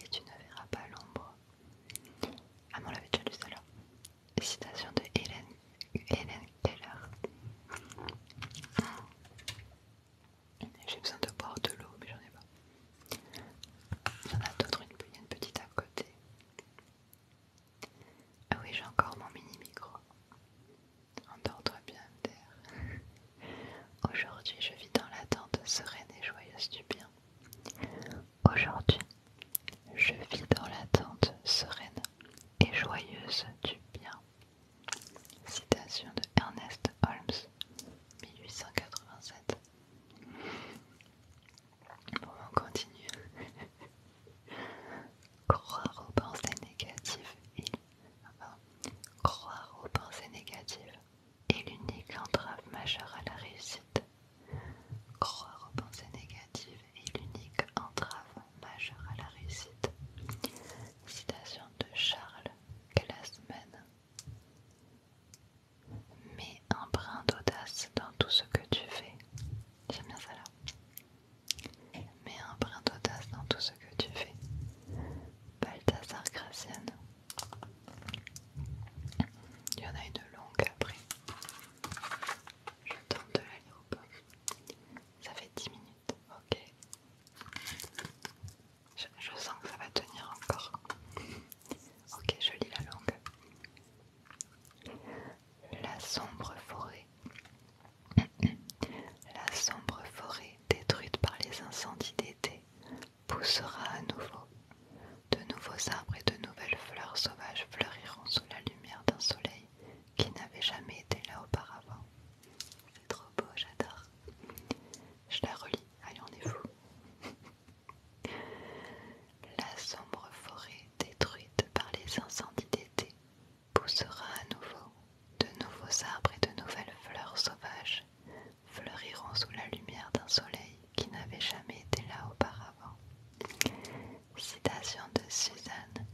et tu ne verras pas l'ombre. Ah, mon on l'avait déjà lu Citation de Hélène, Hélène Keller. J'ai besoin de boire de l'eau, mais j'en ai pas. Il y en a d'autres, il une petite à côté. Ah oui, j'ai encore mon mini micro. Endors-toi bien, terre. <laughs> Aujourd'hui, je vis dans l'attente sereine et joyeuse du bien. Aujourd'hui, je vis dans l'attente sereine et joyeuse du bien. Citation de Ernest Holmes, 1887. On continue. <laughs> croire aux pensées négatives et croire aux pensées négatives est l'unique entrave majeure à la réussite. Croire aux pensées négatives est l'unique entrave majeure à la réussite. Citation de Charles Glassman. Mets un brin d'audace dans tout ce que tu fais. J'aime bien ça là. Mets un brin d'audace dans tout ce que tu fais. Balthazar Gracian. Il y en a une longue après. Je tente de la lire Ça fait 10 minutes, ok. Je, sens que ça va tenir encore. Ok, je lis la langue. La sombre forêt. La sombre forêt détruite par les incendies d'été poussera à nouveau. De nouveaux arbres et de nouvelles fleurs sauvages fleuriront sous la lumière d'un soleil qui n'avait jamais été là auparavant. C'est trop beau, j'adore. Je la relis, allez, on est fou. La sombre forêt détruite par les incendies d'été poussera à nouveau, de nouveaux arbres et de nouvelles fleurs sauvages fleuriront sous la lumière d'un soleil qui n'avait jamais été là auparavant. Citation de Suzanne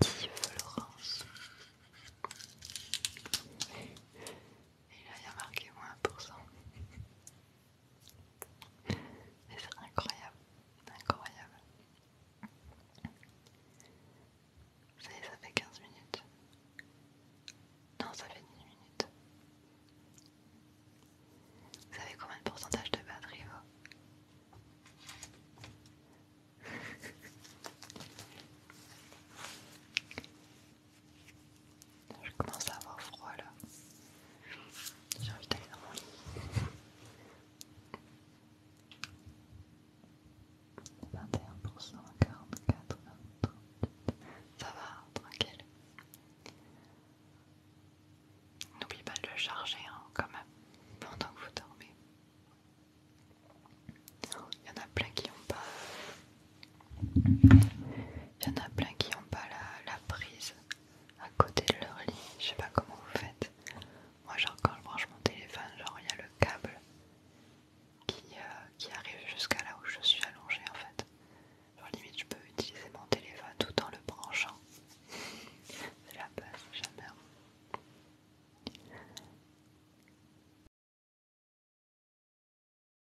Florence. Et là, il y a marqué moins 1%. c'est incroyable, incroyable. Ça savez, ça fait 15 minutes. Non, ça fait 10 minutes. Vous savez combien de pourcentage de batterie vaut je commence à avoir froid là. J'ai envie d'aller dans mon lit. 21%, 44, 38%... Ça va, hein, tranquille. N'oublie pas de le charger hein, quand même pendant que vous dormez. Il y en a plein qui n'ont pas il y en a plein qui n'ont pas la, prise à côté de leur lit. Je sais pas comment vous faites. Moi, genre, quand je branche mon téléphone, genre, il y a le câble qui, euh, arrive jusqu'à là où je suis allongée en fait. Genre, limite, je peux utiliser mon téléphone tout en le branchant. <laughs> C'est la base,